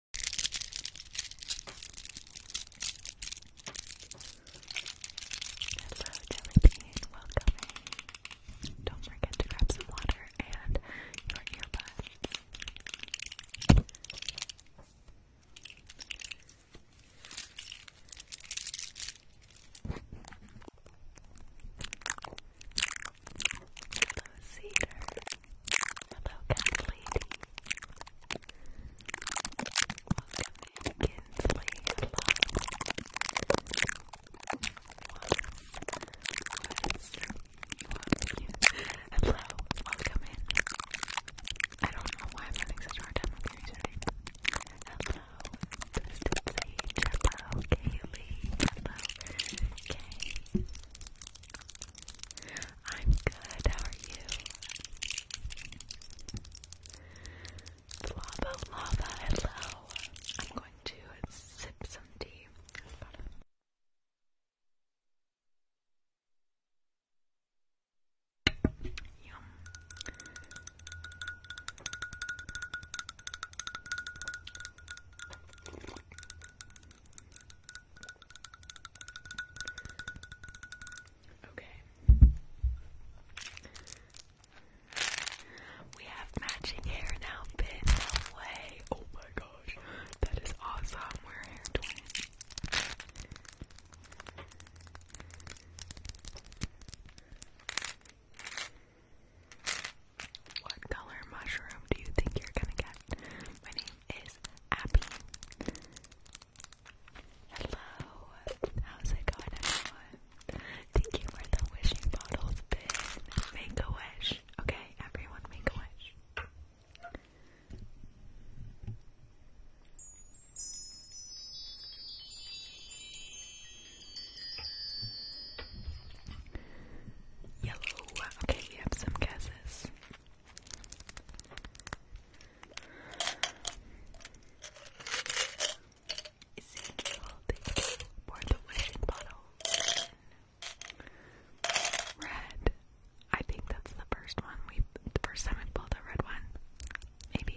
Hello, Jellybean, welcome Don't forget to grab some water and your earbuds. Hello, Cedar. Hello, cat Welcome in, Kinsley. Hello. welcome in. I don't know why I'm having such a hard time with your Hello, Twisted Hello, Kaylee. I'm good. How are you? Lava, lava, hello. I'm going to sip some tea. Yum. Okay. We have matching hair now, no way. Oh my gosh. That is awesome. We're hair twins. What color mushroom do you think you're gonna get? My is Abby. Hello, how's it going, Thank you for the wishing bottles, bin. Make a wish. Okay, everyone, make a wish. Yellow. Okay, we have some guesses. Ezekiel, thank for the wishing bottle. Red. I think that's the first one we the first time we pulled a red one. Maybe.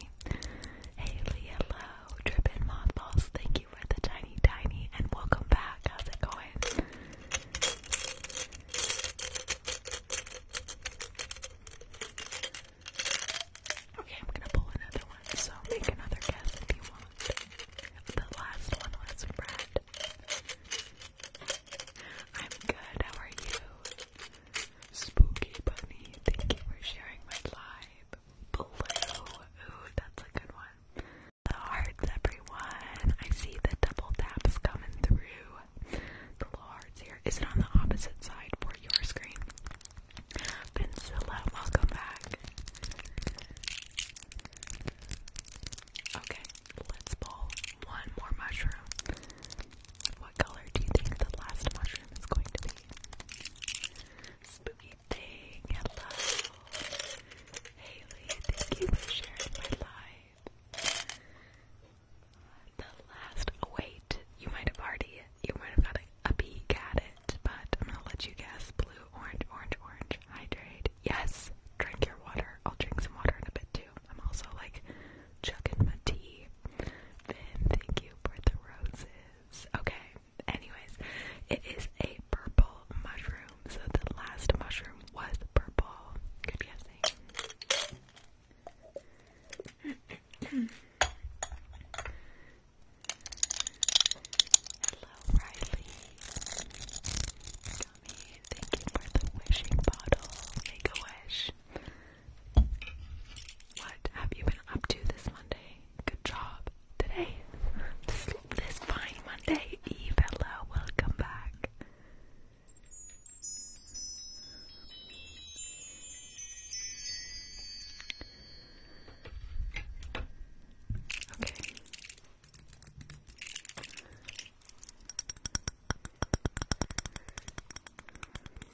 Haley, hello. Drippin' mothballs. Thank you for the tiny tiny and welcome back. How's it going? Okay, I'm gonna pull another one, so make another guess if you want. The last one was red. I'm good, how are you? Spooky bunny, thank you for sharing my live. Blue, ooh, that's a good one. The hearts, everyone. I see the double taps coming through the little here. Is it on the opposite side for your screen? Vincilla, welcome back. Okay, let's pull one more mushroom. What color do you think the last mushroom is going to be? Spooky thing, Haley, thank you for sharing my life. The last wait, you might have already you might have got a, peek at it, but I'm gonna let you guess. Blue, orange, orange, orange, hydrate. Yes, drink your water. I'll drink some water in a bit too. I'm also like chugging my tea. Then thank you for the roses. Okay. Anyways, it is a purple mushroom. So the last mushroom was purple. Good guessing. Hello, Riley. Tommy, thank you for the wishing bottle. Make a wish. What have you been up to this Monday? Good job. Today, this fine Monday Eve. Hello, welcome back. Okay.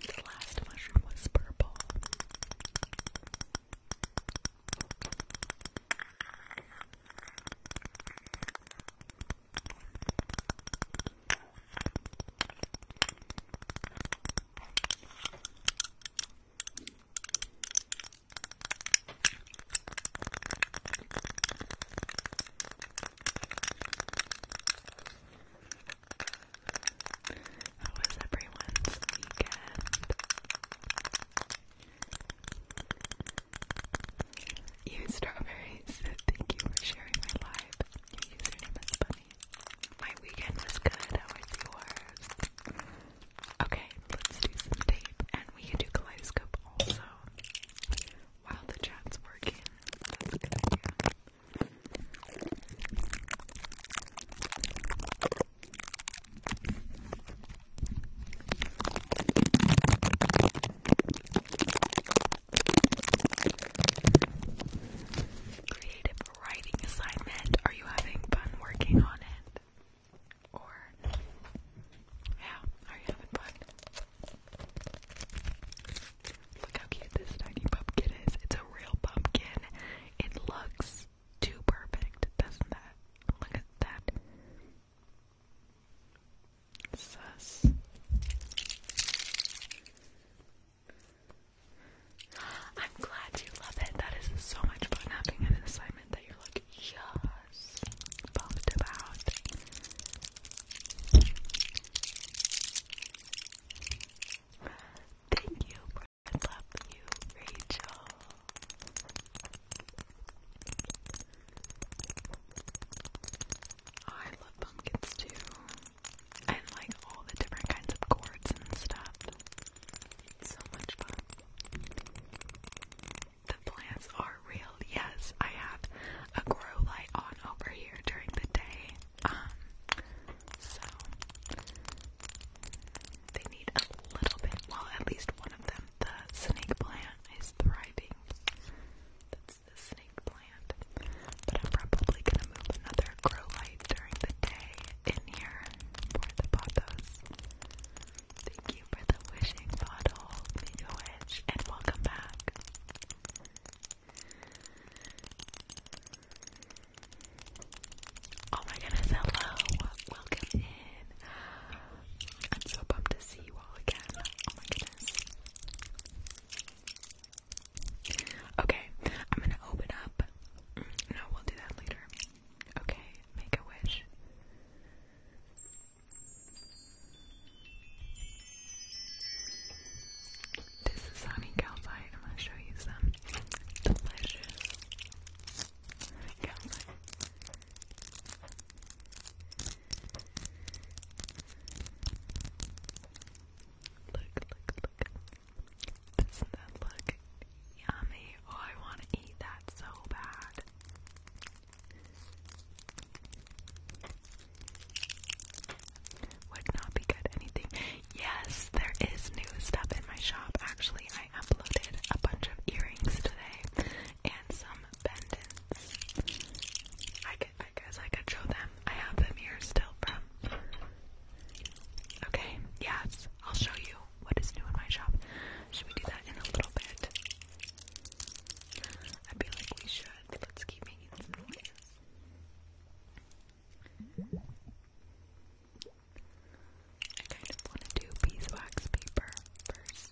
The last mushroom was purple. How was everyone's weekend? You strawberries. Thank you for sharing my live. Your username is Bunny. My weekend was good. How was yours? Okay, let's do some tape, and we can do kaleidoscope also while the chat's working. That's a Creative writing assignment. Are you having fun working on it? Or, yeah, are you having fun? Look how cute this tiny pumpkin is. It's a real pumpkin. It looks too perfect, doesn't that? Look at that. Sus. I'm glad you love it. That is so much fun having an assignment that you're like, yes, pumped about. Thank you, I love you, Rachel. I love pumpkins too. And like all the different kinds of gourds and stuff. so much fun. The plants are real. Yes, I have a grow light on over here during the day. Um, so they need a little bit. Well, at least one of them, the snake plant, is thriving the snake plant, but I'm probably gonna move another grow light during the day in here for the pothos. Thank you for the wishing bottle, make and welcome back. Oh my goodness, hello! Welcome in. I'm so pumped to see you again. Oh my goodness. Okay, I'm gonna open up. No, we'll do that later. Okay, make a wish. This is honey I'm gonna show you some delicious calcite. Look, look, look. Doesn't that look yummy? Oh, I want to eat that so bad. Would not be good anything. Yes, there is new stuff in my shop. Actually, I uploaded a bunch of earrings today and some pendants. I, could, I guess I could show them. I have them here still from. Okay, yes, I'll show you what is new in my shop. Should we do that in a little bit? I feel like we should. Let's keep making some noises. I kind of want to do beeswax paper first.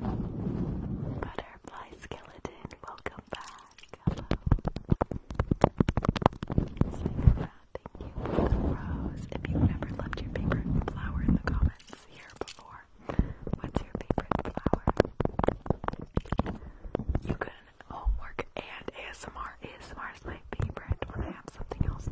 Butterfly skeleton, welcome back. Hello. Like Thank you for the rose. If you've never left your favorite flower in the comments here before, what's your favorite flower? You can homework and ASMR. ASMR is my favorite when I have something else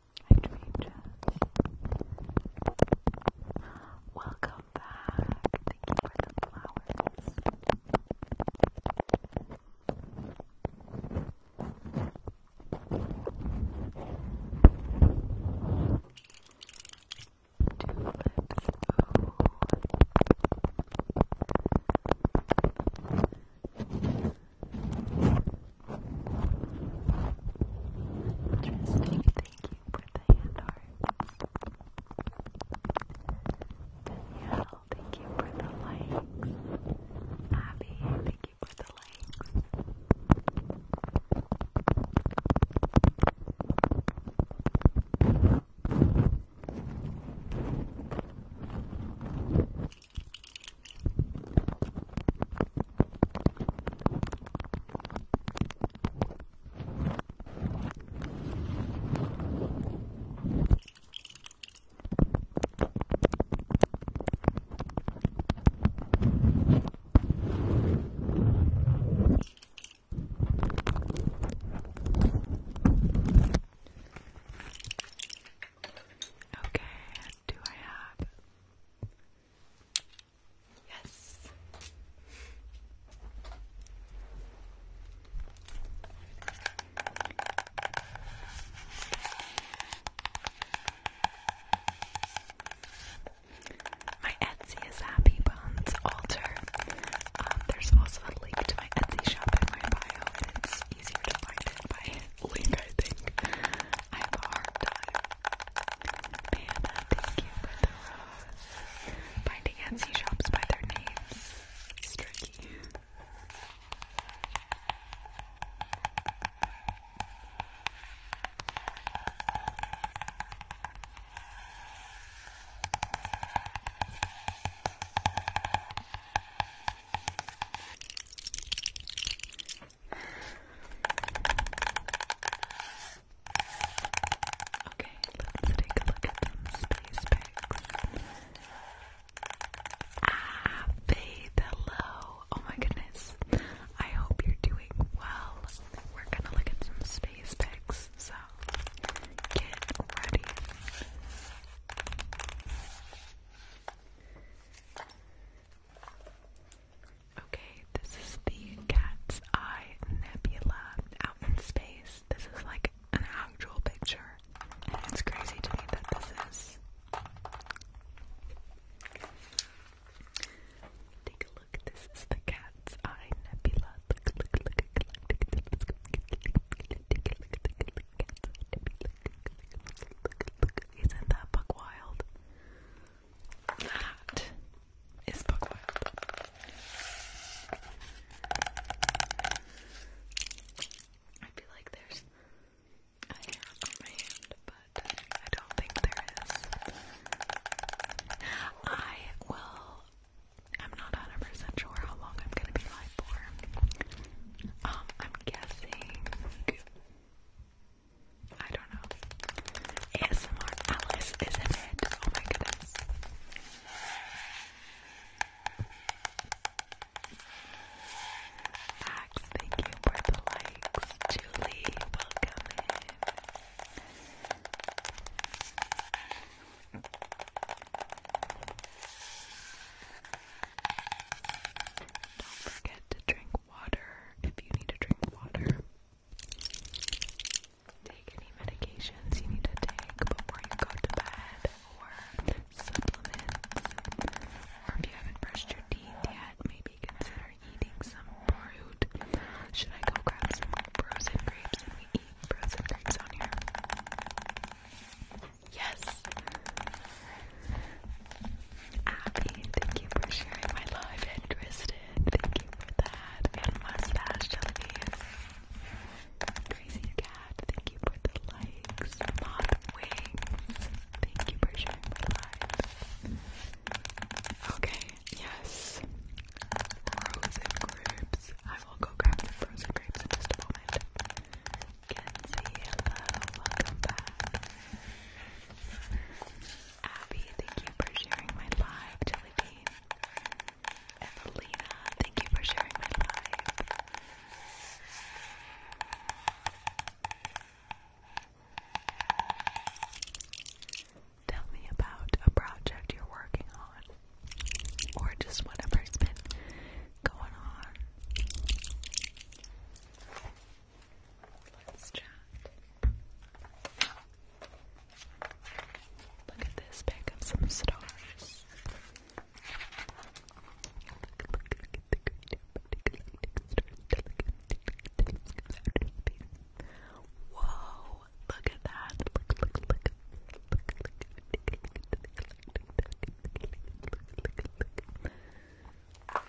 I Dream Welcome back. Thank you for the flowers. Tulips. Ooh. Interesting, thank you for the hand hearts. Danielle, thank you for the likes. Abby, thank you for the likes. Okay, do I have Yes. My Etsy is Happy Bones Alter. Um, there's also a link to my Etsy shop in my bio, and it's easier to find it by link, I think. I have a hard time Anna, thank you for the rose. Finding Etsy shops by their names is tricky. Okay, let's take a look at some space picks. Ah, Faith, hello. Oh my goodness. I hope you're doing well. We're gonna look at some space picks, so get ready. Okay, this is the Cat's Eye Nebula out in space. This is like an actual picture, and it's crazy to me that this is. Take a look. This is the Cat's Eye Nebula. Look, look, look, look, look, that is buckwheat. I feel like there's a hair on my hand, but I don't think there is. I will. I'm not 100 sure how long I'm gonna be live for. Um, I'm guessing I don't know. ASMR Alice, isn't it? Oh my goodness. Max, thank you for the likes. Julie, welcome in. Don't forget to drink water if you need to drink water. Take any medications you need to take before you go to bed, or supplements, or if you haven't brushed your teeth yet, maybe consider eating some fruit. Should I go grab some frozen grapes and we eat frozen grapes on here? Yes! Abby, thank you for sharing my life. and Tristan, thank you for that. And Mustache Jellybeans. Crazy Cat, thank you for the likes. Mod Wings, thank you for sharing my live. Okay, yes. Frozen grapes. I will go grab the frozen grapes in just a moment. Kenzie, welcome back. Abby, thank you for sharing my life. Jelly Bean. Evelina, thank you for sharing my live. Tell me about a project you're working on, or just whatever's been going on. Let's chat. Look at this, pick up some stars. Whoa, look at that.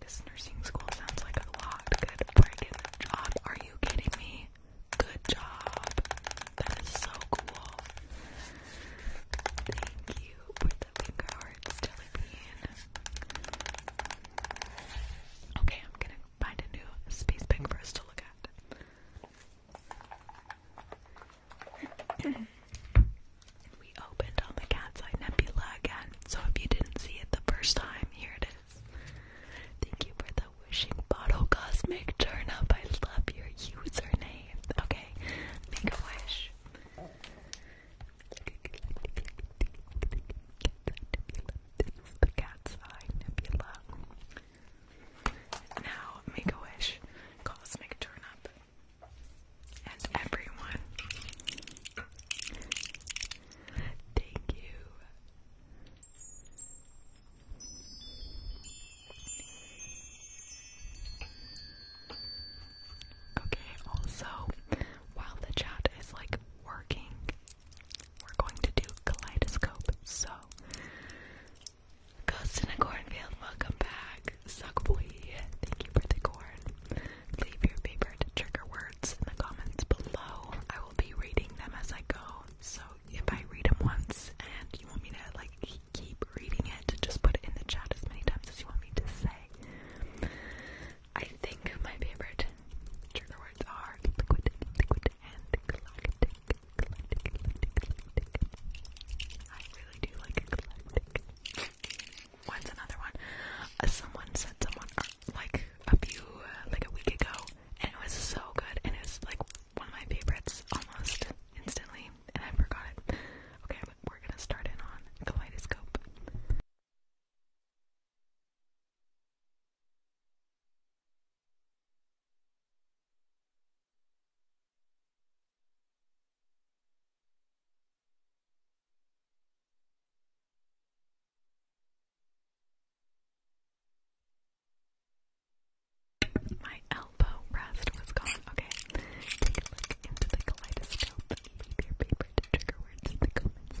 This nursing school sounds like a lot. Good friggin' job. Are you kidding me? Good job. That is so cool. Thank you for the finger hearts, Telebean. Okay, I'm gonna find a new space pig for us to look at. We opened on the Cat's Eye Nebula again, so if you didn't see it the first time, here it is. Thank you for the wishing bottle, Cosmic Turnip. I love your username. Okay, make a wish. This is the Cat's Eye Nebula. Now, make a wish, Cosmic Turnip and everyone. Thank you. Okay, also, while the chat is like working, we're going to do kaleidoscope. So, Ghost in a Cornfield, welcome back. Suck boy, thank you for the corn. Leave your favorite trigger word in the comments below. I will be reading them as I go. So if I read them once and you want me to like keep reading it, just put it in the chat as many times as you want me to say. I think my favorite trigger words are liquid, liquid, and galactic. Galactic, galactic, galactic. I really do like galactic. What's another one? Uh, someone said someone uh, like a few uh, like a week ago, and it was so good, and it was like one of my favorites almost instantly, and I forgot it. Okay, we're gonna start in on Kaleidoscope. My elbow rest was gone. Okay, take a look into the kaleidoscope. Leave your favorite trigger words in the comments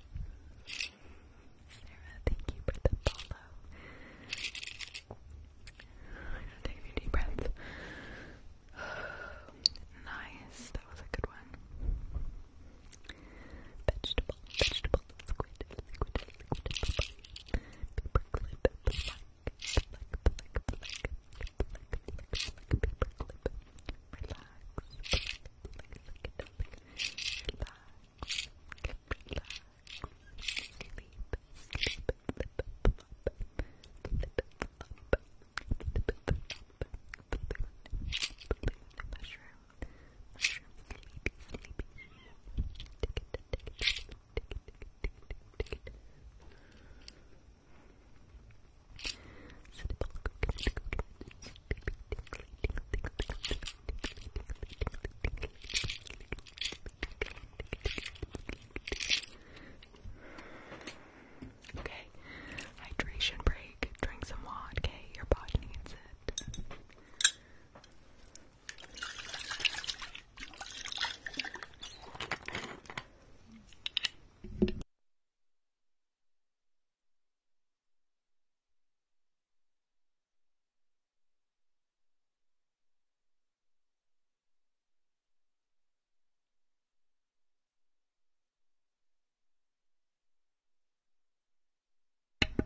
Sarah, thank you for the follow. take a deep breaths. nice, that was a good one. Vegetable, vegetable, squid, squid, squid, paper clip, black, black, black, black, black, black, black, paper clip. Relax, relax, Mushroom, Okay, hydration break. Drink some water. Okay, your body needs it.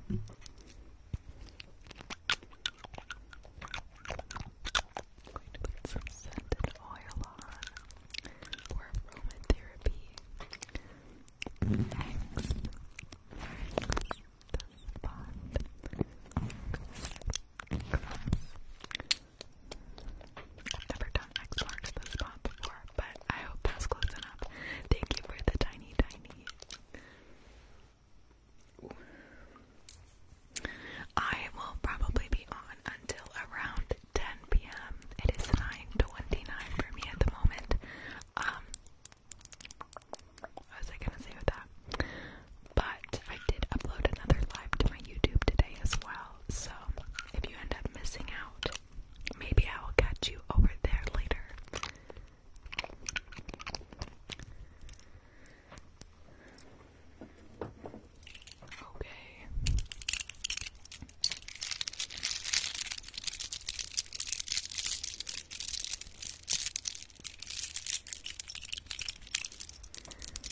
Going to put some scented oil on or aromatherapy. Next, the spot. I've never done X marks the spot before, but I hope that's close enough. Thank you for the tiny, tiny. I will probably be on until around 10 p.m. It is 9:29 for me at the moment. Um, what was I gonna say with that? But I did upload another live to my YouTube today as well. So if you end up missing out, maybe I will catch you over there later. Okay.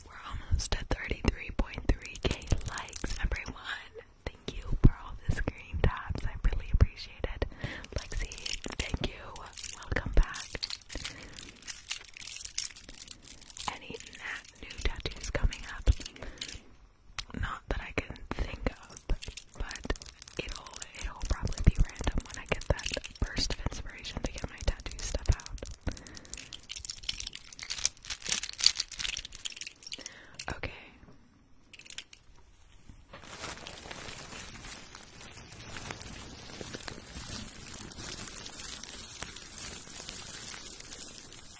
We're almost at 33.3k likes, everyone. Thank you for all the screen taps. I really appreciate it. Lexi, thank you. Welcome back. Any new tattoos coming up? Not that I can think of, but it'll it'll probably be random when I get that burst of inspiration to get my tattoo stuff out. Okay.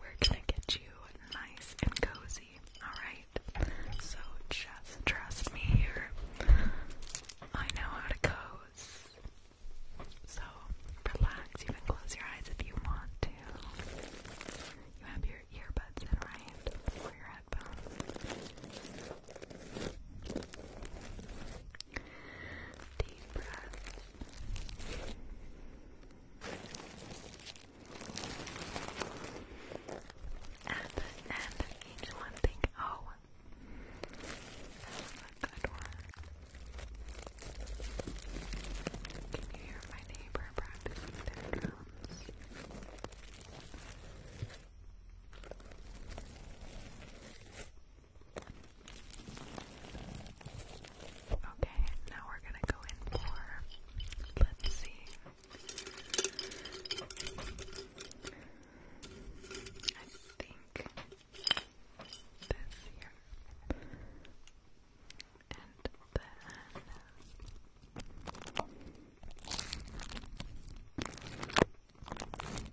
We're gonna get you nice and cozy, alright? So just trust me here. I know how to coze. So relax, you can close your eyes if you want to. You have your earbuds in, right? Or your headphones. Deep breath. At the each one, think, oh, that a good one. Can you hear my neighbor practicing their drums? Okay, now we're gonna go in for, let's see. I think this here. And then what time is it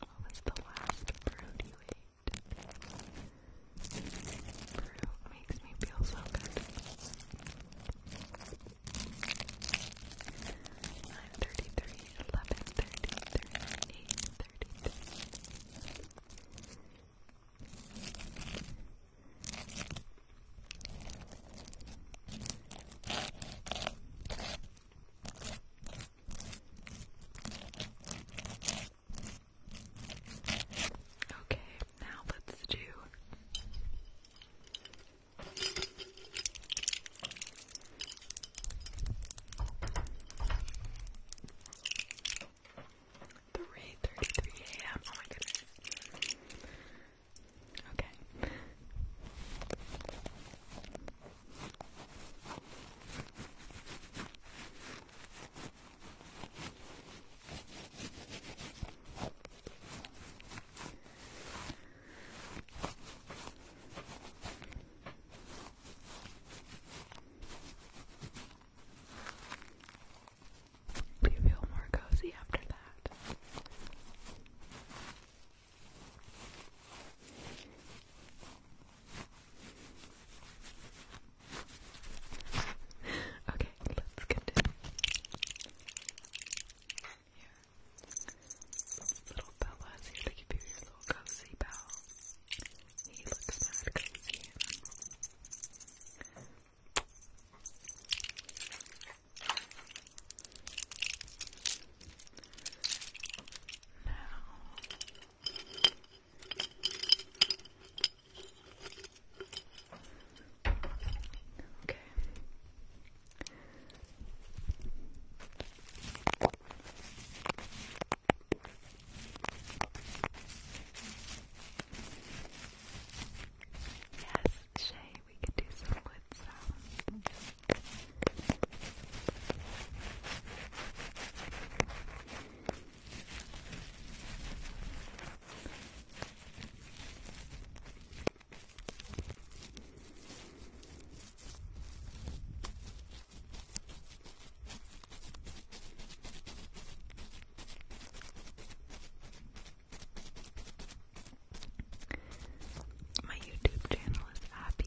What was the last fruit you ate? Fruit makes me feel so good. I'm 33 eleven thirty, thirty, eight thirty, thirty. Okay, now let's do. 3:33 a.m. Oh my goodness. Okay. Do you feel more cozy after that? okay, let's continue. Here little fella is here to give you your little cozy pal. He looks mad cozy. Now Okay. Yes, Shay, we can do some wood sounds. Yes, my YouTube channel is Happy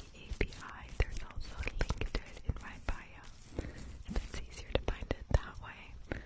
There's also a link to it in my bio. If it's easier to find it that way.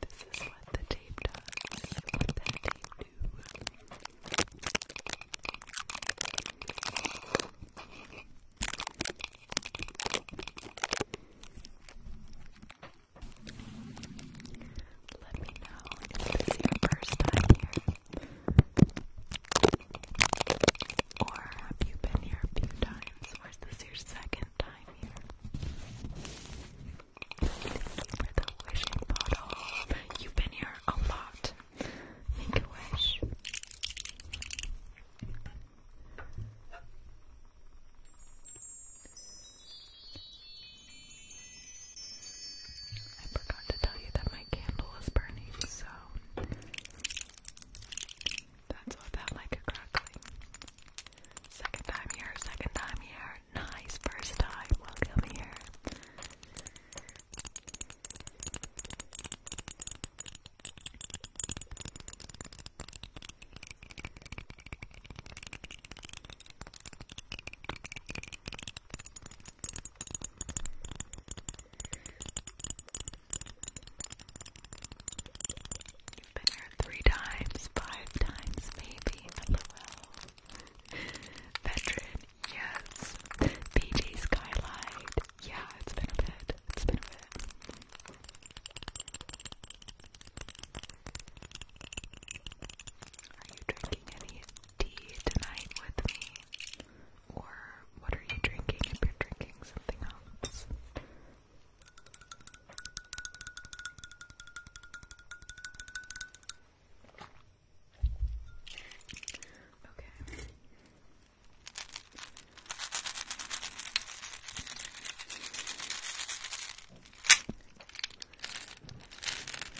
This is what the tape does. Let me know if this is your first time here. Or have you been here a few times? times? Or is this your second time here? You've been here a lot. Make a wish. I forgot to tell you that my candle is burning, so that's what that like a crackling. Second time here, second time here. Nice first time. Welcome here you three times, five times, maybe. LOL. Veteran, yes. PJ Skylight, yeah, it's been a bit. It's been a bit. Are you drinking any tea tonight with me? Or what are you drinking if you're drinking something else? Okay.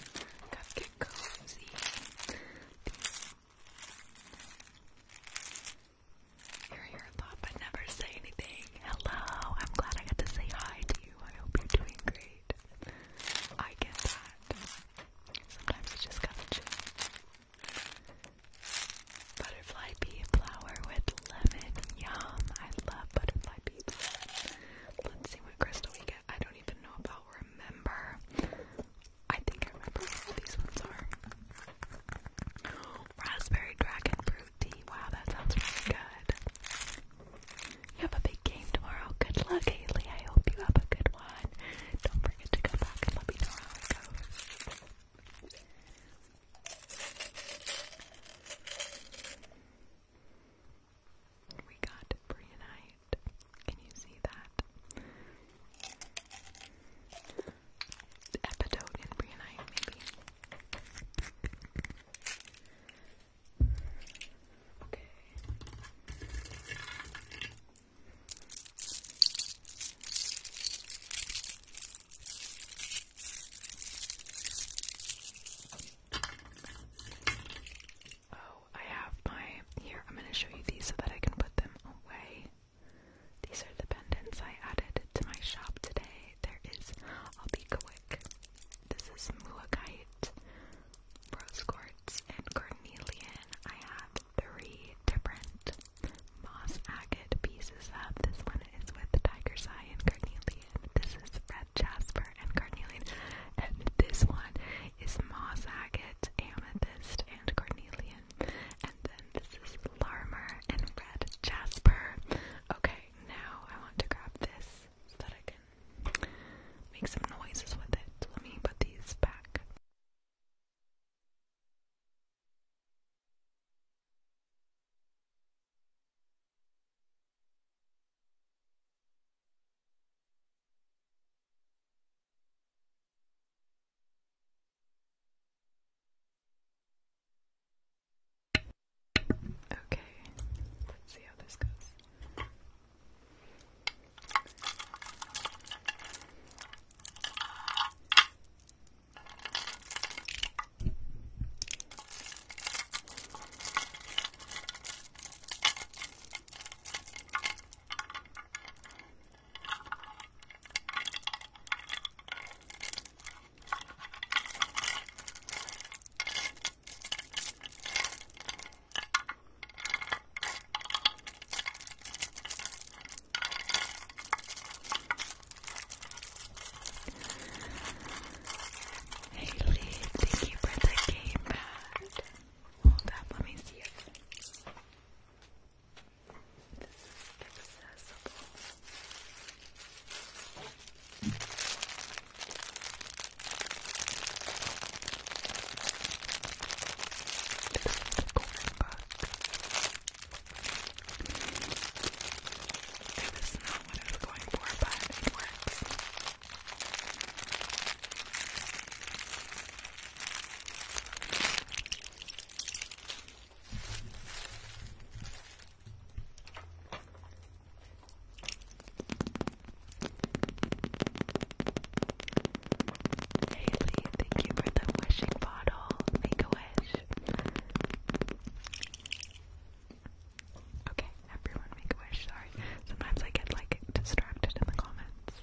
Let's get cozy. These hear your thought but never say anything. Hello, I'm glad I got to say hi to you. I hope you're doing great. I get that. Sometimes you just gotta chill. Butterfly pea flower with lemon. Yum. I love butterfly pea flower. Let's see what crystal we get. I don't even know if I'll remember. I think I remember what these ones are raspberry dragon fruit tea. Wow, that sounds really good. You have a big game tomorrow. Good luck, Haley. I hope you have a good one. Don't forget to come back and let me know how it goes. We got Brianite. Can you see that? Epidote and Brianite, maybe. Okay. Oh, I have my here. I'm going to show you these so that I can put them away. These are the pendants I added to my shop today. There is, I'll be quick. This is Muakite, Rose Quartz, and Cornelian. I have three different moss agate pieces of. Uh, this one is with Tiger's Eye and Cornelian. This is Red Jasper and Cornelian. And this one is moss agate, amethyst, and Cornelian. And then this is Larmer and Red Jasper. Okay, now I want to grab this so that I can make some noises with it. Let me put these back. Okay, let's see how this goes. Haley, thank you for the game Hold up, let me see it. This is accessible. This is the comic book. It was not what I was going for, but it works. Haley, thank you for the wishing bottle. Make a wish. Okay, everyone make a wish. Sorry. Sometimes I get like distracted in the comments.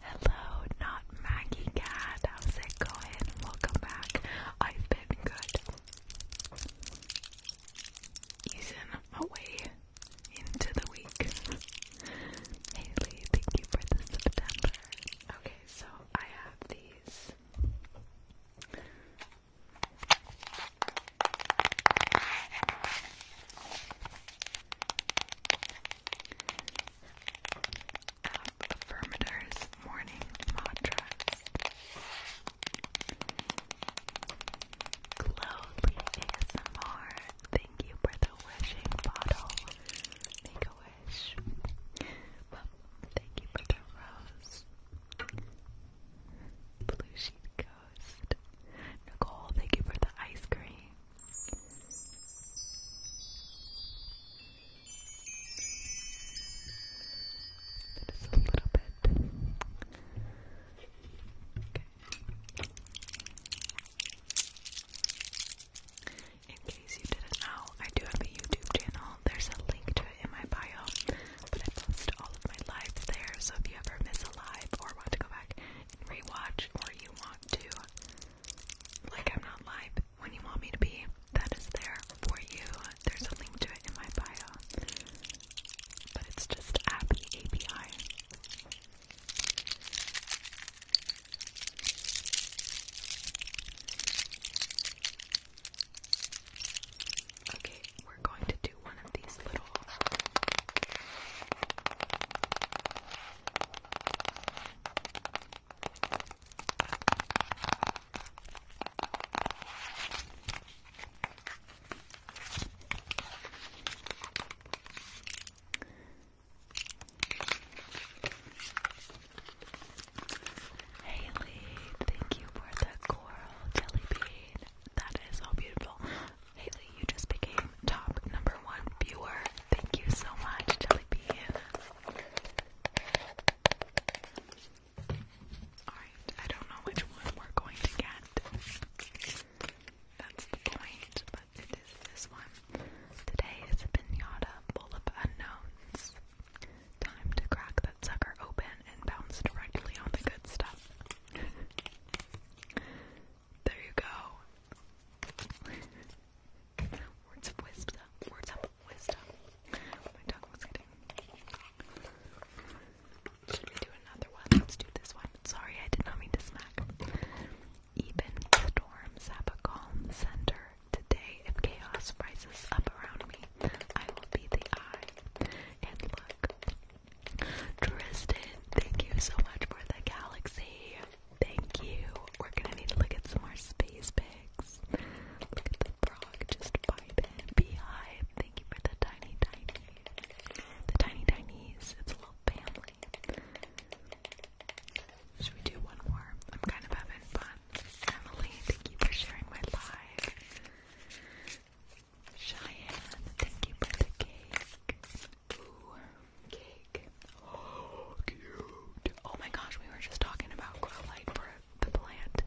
Hello, not Maggie Cat. How's it going? Welcome back. I've been good. Using my way into the week. Haley, thank you for the September. Okay, so I have these. Affirmators Morning Mantras Glowly ASMR, thank you for the wishing bottle. Make a wish. thank you for the rose. Blue Sheet Ghost. Nicole, thank you for the ice cream. It is a little bit. Okay. In case you didn't know, I do have a YouTube channel. There's a link to it in my bio, but I post all of my lives there. So if you ever miss a live or want to go back and rewatch, or you want to like I'm not live when you want me to be. That is there for you. There's a link to it in my bio. But it's just Abby API. Okay, we're going to do one of these little Haley, thank you for the coral jelly bean. That is so beautiful. Haley, you just became top number one viewer. Thank you so much, Jellybean. Alright, I don't know which one we're going to get. That's the point, but it is this one. Today is a pinata full of unknowns. Time to crack that sucker open and bounce directly on the good stuff. there you go. Words of wisdom. Words of wisdom. My tongue was getting. Should we do another one? Let's do this one. Sorry, I did not mean to smack. Even storms have a calm center. Today, if chaos rises up around me, I will be the eye. And look. Tristan, thank you so much for the galaxy. Thank you. We're gonna need to look at some more space pigs. Look at the frog just vibing. Beehive, thank you for the tiny tiny. The tiny tinies. It's a little family. Should we do one more? I'm kind of having fun. Emily, thank you for sharing my live. Cheyenne, thank you for the cake. Oh, oh, my gosh, we were just talking about grow light for the plant.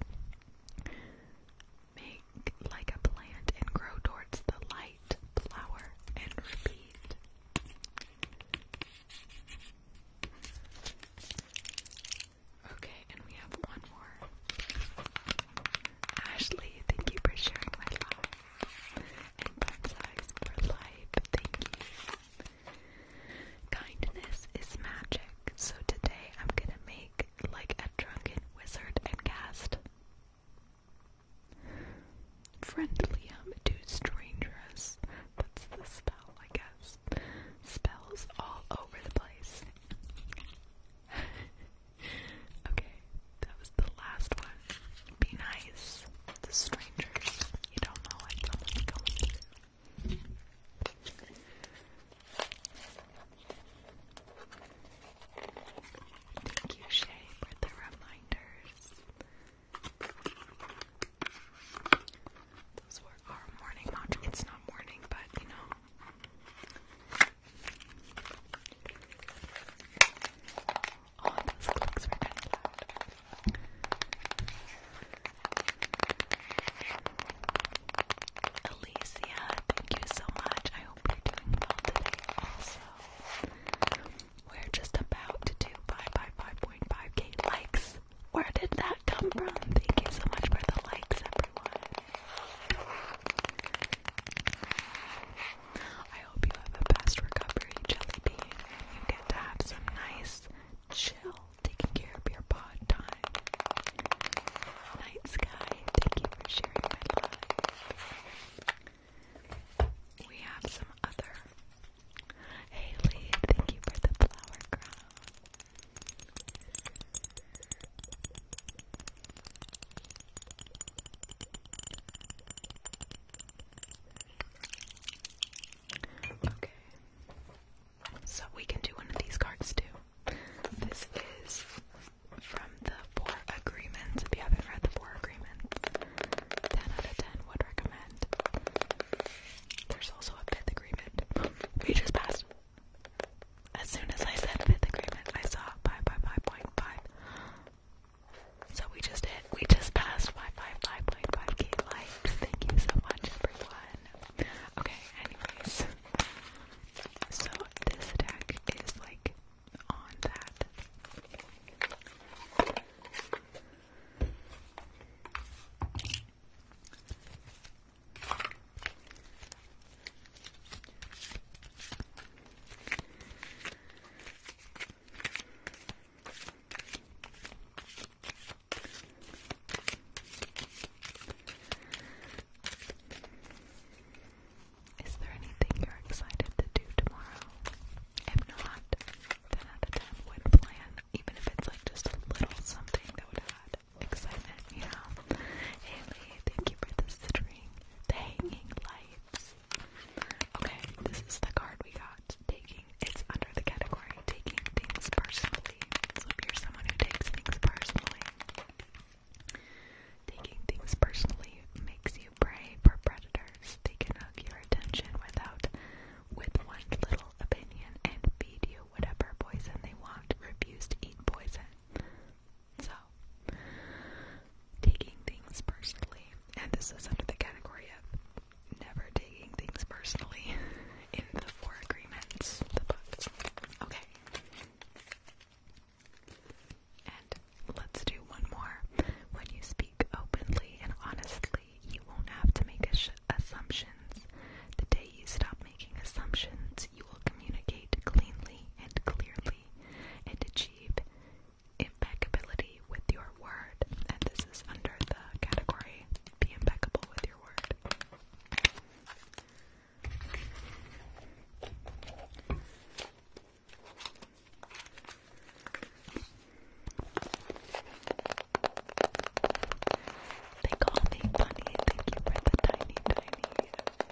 Make like a plant and grow towards the light, flower, and repeat. Okay, and we have one more. Ashley, thank you for sharing my love And fun for life, thank you. Kindness is magic, so today I'm gonna make like a drunken wizard and cast Friendlium to strangers. That's the spell, I guess. Spells all over the place. okay, that was the last one. Be nice the strangers you don't know like don't like Thank you, Shay, for the reminders. Those were our morning It's not morning, but you know all thank you so much. I hope you're doing well today also. We're just about to do 5.5k likes. Where did that come from? Thank you so much for the likes, everyone. I hope you have a fast recovery, Jelly You get to have some nice chill, taking care of your pod time. Night Sky, thank you for sharing my life. We have some other. Haley, thank you for the flower crown. Okay. So we can do one of these cards too. This is from the Four Agreements. If you haven't read the Four Agreements, 10 out of 10 would recommend. There's also a fifth agreement. We just passed. As soon as I said fifth agreement, I saw 5 by 5.5. So we just hit we just passed 555.5k likes. Thank you so much, everyone. Okay, anyways. So this deck is like on that. Is there anything you're excited to do tomorrow? If not, then at the time would even if it's like just a little something that would have add excitement, you Haley, thank you for the string, the hanging lights. Okay, this is the card we got taking it's under the category taking things personally. if you're someone who takes things personally, taking things personally makes you prey for predators. They can your attention without with one little opinion and feed you whatever poison they want. Refuse to eat poison. So taking things personally, and this is under the category of never taking things personally in the Four Agreements, the books. Okay. And let's do one more. When you speak openly and honestly, you won't have to make assumptions. The day you stop making assumptions, you will communicate cleanly and clearly and achieve impeccability with your word, and this is under the category be impeccable with your word. Thank you for the tiny, tiny. Okay.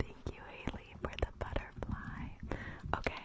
Thank you, Haley, for the butterfly. Okay,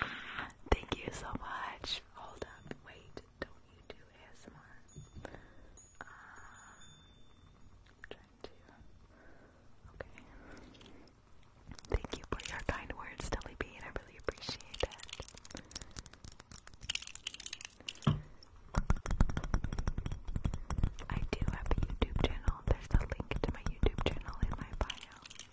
Ah, thank you so much. Hold up, wait. Don't you do ASMR? Ah, trying to. Okay. Thank you for your kind words, Telly Bean. I really appreciate that. I do have a YouTube channel. There's a link to my YouTube channel in my bio.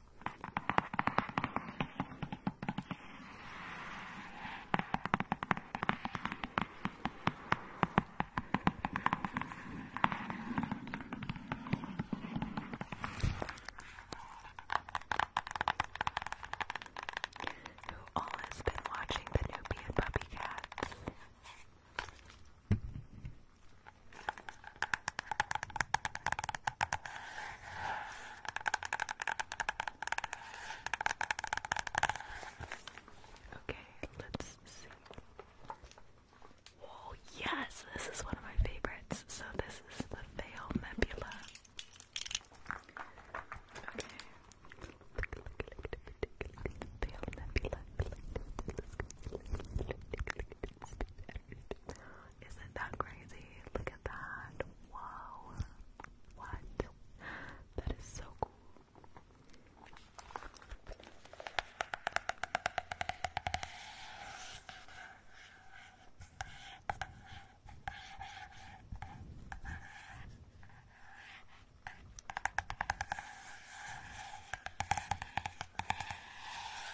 Who all has been watching the Nubian Puppy Cats? Okay, let's see. Oh, yes, this is one of my favorites. So, this is the Veil Nebula. Okay. Nebula. Isn't that crazy? Look at that. Wow. What? That is so cool.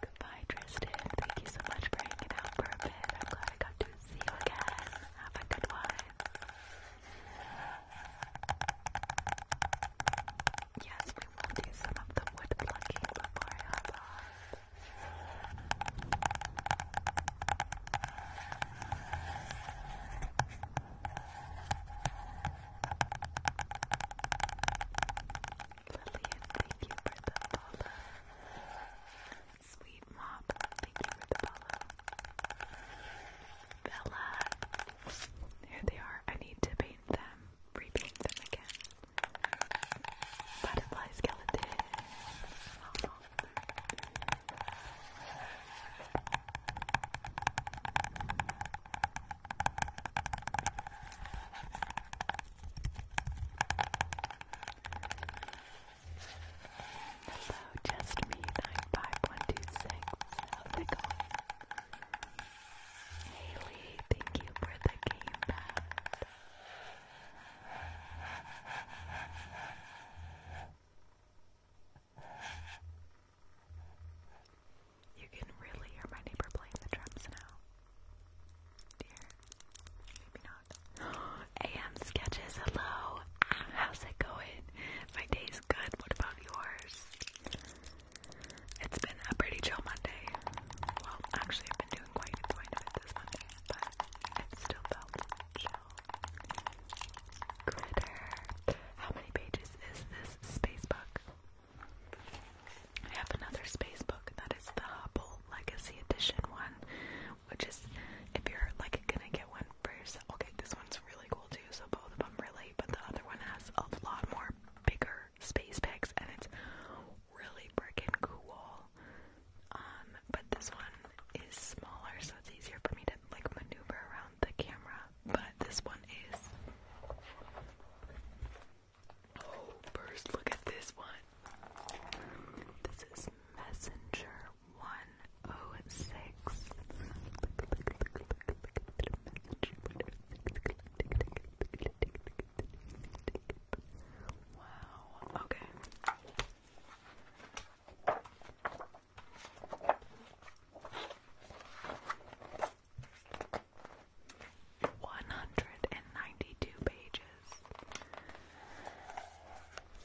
Goodbye, Tristan. Thank you so much for hanging out for I'm glad I got to see you again. Have a good one. Yes, we will do some of the wood plucking before Lillian, thank you for the follow. Sweet Mop, thank you for the Bella, here they are. I need to paint them, repaint them again. Butterfly skeleton. Hello, just me, 95126. How's it going? Haley, thank you for the game back. You can really hear my neighbor playing the drums now. AM sketches, hello. How's it going? My day's good. What about yours? It's been a pretty chill Monday. Well, actually, I've been doing quite a bit this Monday, but it's still felt chill. Critter. How many pages is this space book? I have another space book that is the Hubble Legacy Edition one, which is if you're like gonna get one first. Okay, this one's really cool too, so both of them really, but the other one has a lot more bigger space picks and it's really freaking cool. Um, but this one is smaller, so it's easier for me to like maneuver around the camera. But this one is First, look at this one. This is Messenger 106. Wow. Okay. 192 pages.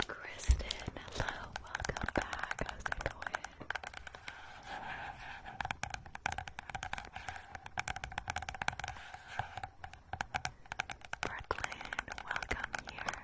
Kristen, hello, welcome back. Brooklyn, welcome here.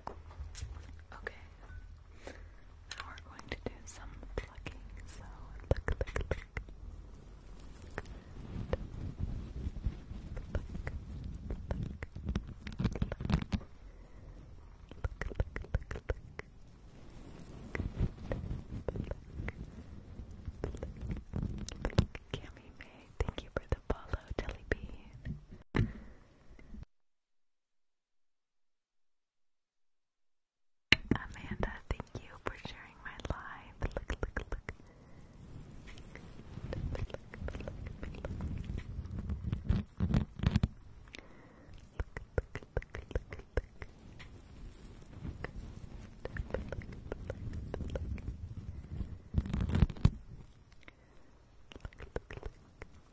Okay. Now we're going to do some plucking. So look, look, look. Good. Look, look, look. Look. Look, look, look, look. Cammy May, thank you for the follow, Jelly Bean. Amanda, thank you for sharing my life.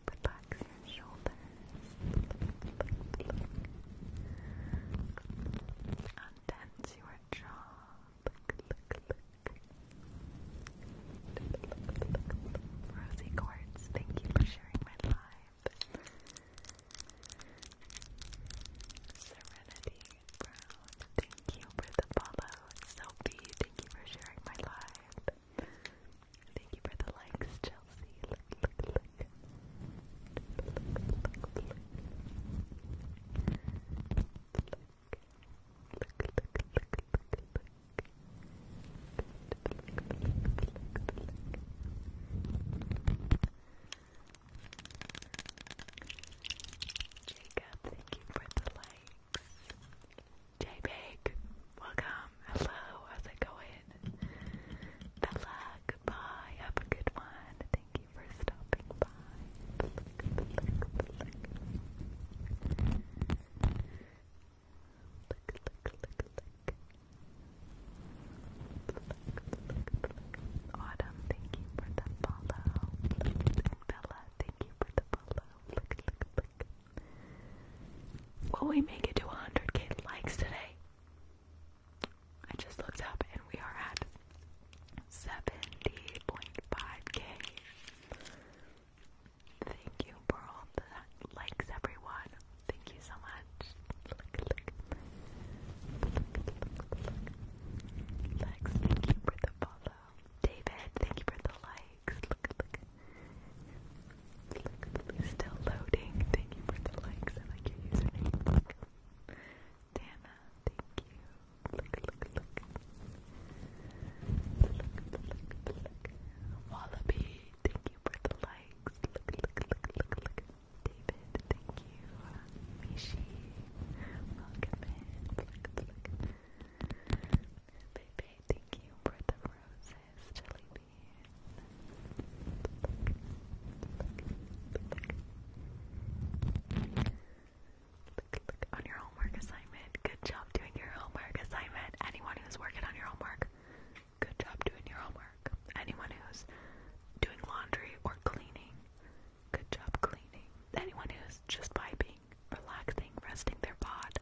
Relax your shoulders. Untense your jaw. Rosie Quartz, thank you for sharing my life. Serenity Brown, thank you for the follow. Sophie, thank you for sharing my live. Thank you for the likes, Chelsea. Look, look, look. Look, look, look, look. Look. Look, look, look, look, look. Look, look, look, look, look. Jacob, thank you for the likes. JPEG, welcome. Hello, how's it going? Good luck. Have a good one. Thank you for stopping by. Good luck, good luck, good luck. Look, look, look, look. Autumn, thank you for the follow. And Bella, thank you for the follow. Look, look, look. Will we make it to 100k likes today? I just looked up and we are at 70.5k. Thank you for the likes, everyone. Thank you so much. Look, thank you for the follow. David, thank you for the like still loading. Thank you for the likes. I like your username. Dana, thank you. Look, thank you for the likes. Look, look, look, look, look. David, thank you. Mishi, welcome in. Pepe, thank you for the roses, Jelly Bean. Look, look, on your homework assignment. Good job doing your homework assignment. Anyone who's working on your homework, good job doing your homework. Anyone who's doing laundry or cleaning, good job cleaning. Anyone who's just vibing, relaxing, resting their bod.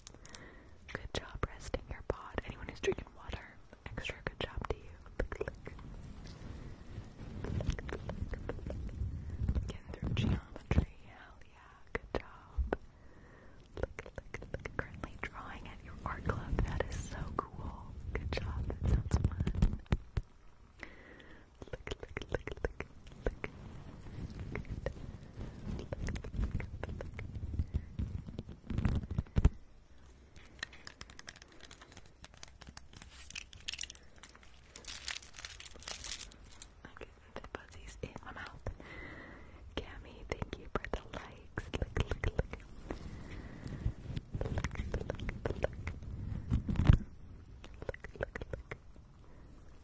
Good job resting your bod. Anyone who's drinking water, extra good job to you. Getting through geometry, hell yeah, good job. Look, look, look, currently drawing at your art club, that is so cool. Good job, that sounds fun. Look, look, look, look, look. Okay, the buzzies in my mouth. Cammy, thank you for the likes.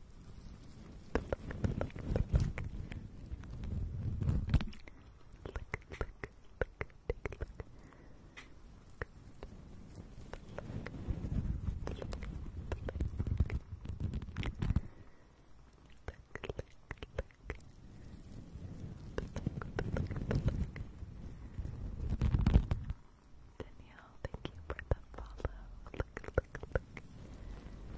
Danielle, thank you for the follow.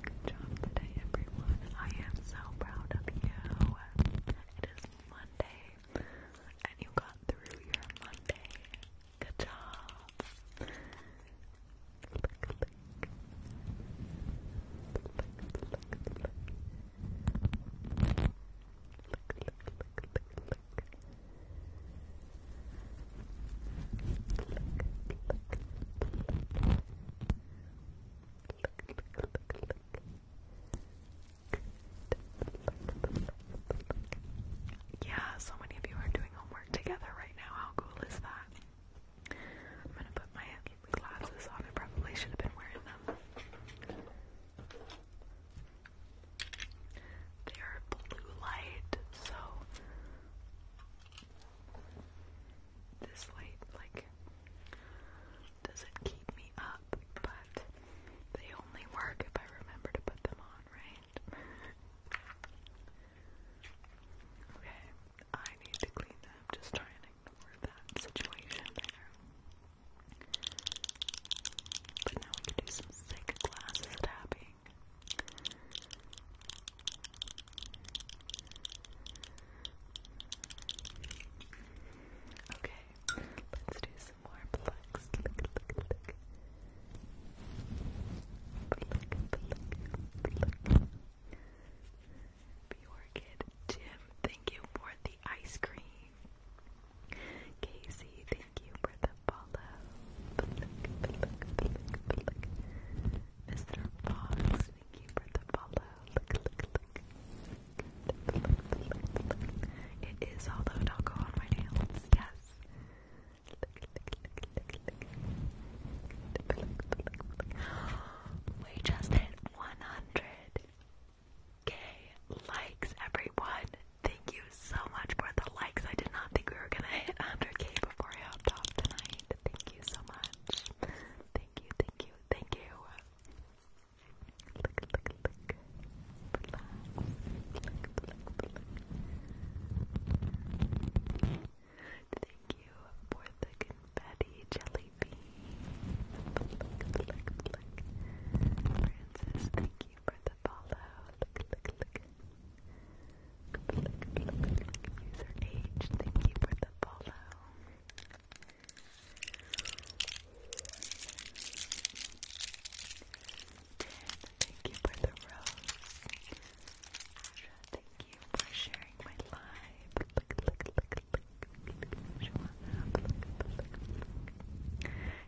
Good job today, everyone. I am so proud of you. It is Monday, and you got through your Monday. Good job. Yeah, so many of you are doing homework together right now. How cool is that? I'm gonna put my glasses on. I have been wearing them. They are blue light, so this light like doesn't keep me up, but they only work if I remember to put them on, right? okay, I need to clean them. Just try and ignore that situation there. But now we can do some sick glasses tapping. Okay, let's do some more plucks. Look, look, look. Pluck, pluck, pluck. Pure Kid Tim, thank you for the ice cream. Casey, thank you for the follow. Mr. Fox, thank you for the follow. Look, look, look. Look, go on my nails. Yes. We just hit 100k likes, everyone. Thank you so much for the likes. I did not think we were gonna hit 100k before I hopped off tonight. Thank you so much. Thank you, thank you, thank you. Look, look, look. Look, look, look. Thank you for the confetti jelly bean. Look, look, look, Francis, thank you for the follow. look, look, look. User age, thank you for the follow thank you for the rose. thank you for sharing my live.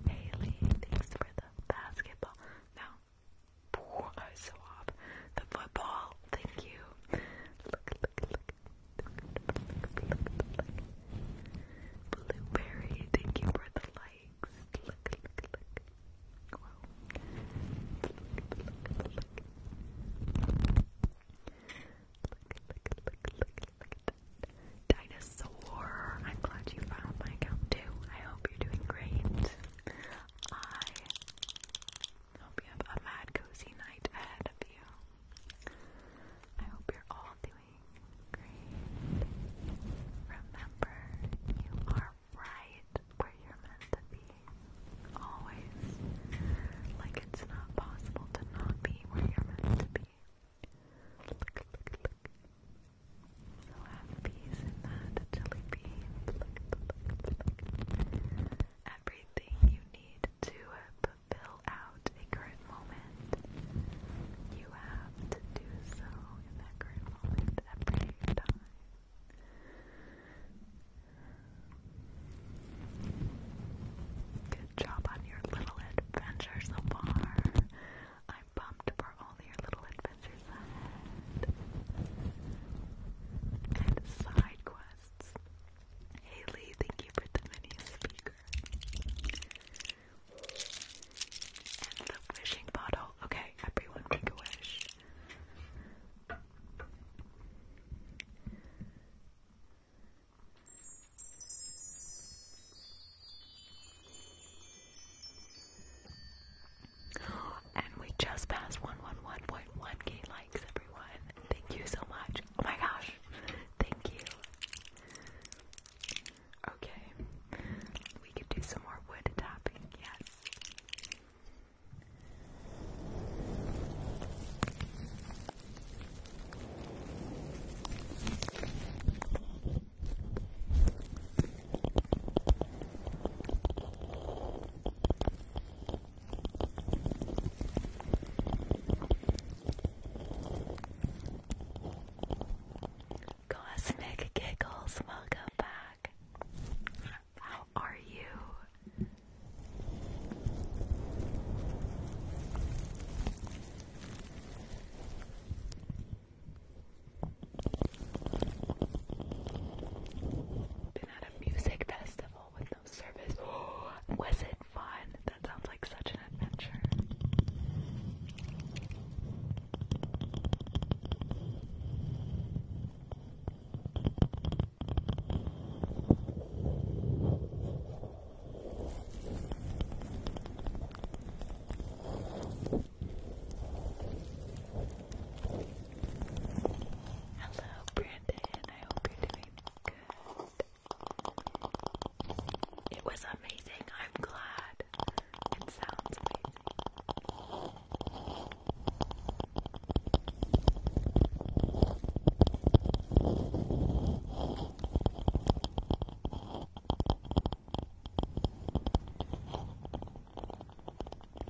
Haley, thanks for the basketball. No. I was The football. Thank you. Blueberry, thank you for the likes. Wow. Dinosaur, I'm glad you found my account too. I hope you're doing great. I I hope you have a mad cozy night ahead of you. I hope you're all doing great. Remember, you are right where you're meant to be. Always. Like it's not possible to not be where you're meant to be. So have peace in that, Jelly Bean. Look, everything you need to fulfill out a current moment. You have to do so in that current moment every time. Good job on your little adventure so far. I'm pumped for all your little adventures ahead. And side quests. Haley, thank you for the mini speaker. And the wishing bottle. Okay, everyone make a wish. And we just passed 111.1k likes likes, everyone. Thank you so much. Oh my gosh. Thank you. Okay. We could do some more wood tapping, yes. Cosmic Giggles, welcome back. How are you? Been at a music festival with of Was it fun? That sounds like such an adventure. Hello, Brandon. It was amazing. I'm glad. It sounds amazing.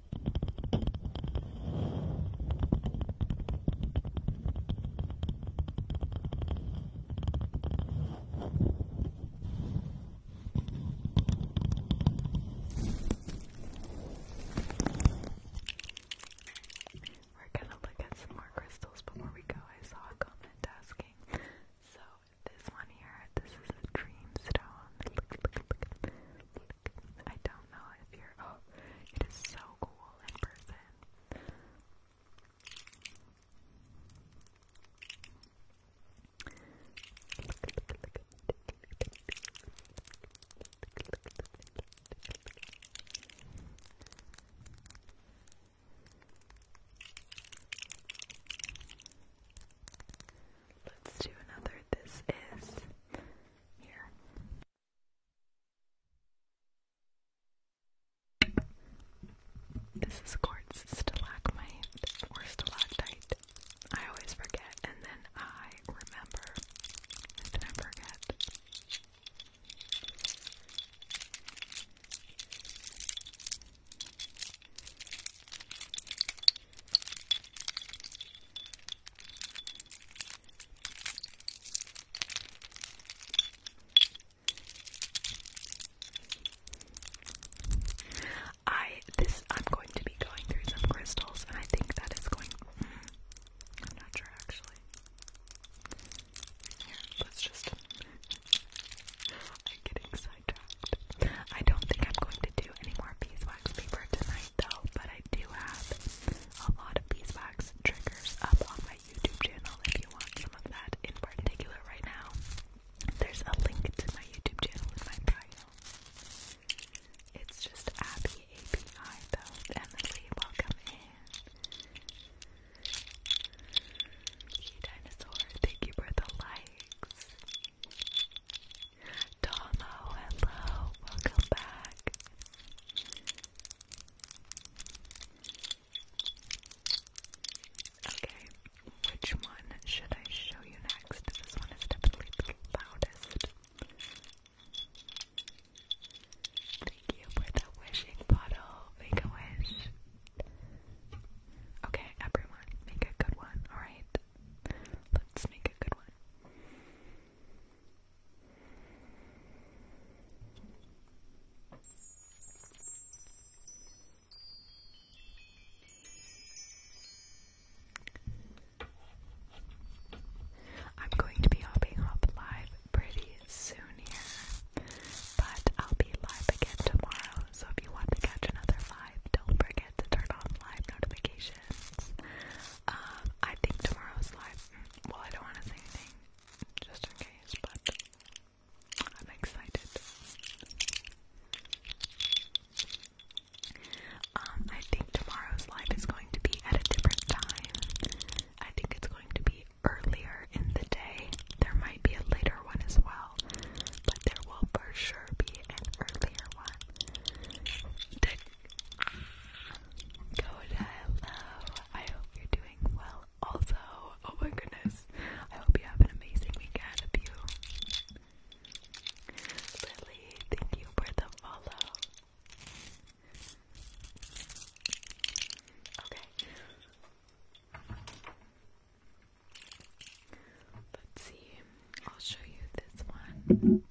We're gonna look at some more crystals before we go. I saw a comment asking. So this one here, this is a dream stone. Look, look, look, look. I don't don't know if you're. Oh, it is so cool in person. Let's do another. This is here. This is quartz stalagmite or stalactite. I always forget and then I remember and then forget. I this I'm going to be going through some crystals and I think that is going mm, I'm not sure actually. Here, let's just I'm getting sidetracked. I don't think I'm going to do any more beeswax paper tonight though, but I do have a lot of beeswax triggers up on my YouTube channel if you want some of that in particular right now. There's a link to my YouTube channel in my bio. It's just Abby API though. Emily, welcome in. She dinosaur, thank you for the likes. Tomo, hello, welcome back. Okay, which one should I show you next? This one is definitely the loudest. Thank you for the wishing bottle. Make a wish. Okay, everyone, make a good one, alright? Let's make a good one. I'm going to be hopping up live pretty soon here, but I'll be live again tomorrow. So if you want to catch another live, don't forget to turn on live notifications. Uh, I think tomorrow's live. Well, I don't want to say anything just in case, but I'm excited. Um, I think tomorrow's live is going to be at a different time. I think it's going to be earlier in the day. There might be a later one as well, but there will for sure be an earlier one hello. I hope you're doing well. Also, oh my goodness, I hope you have an amazing weekend of you. Lily, thank you for the follow. Okay. Let's see. I'll show you this one.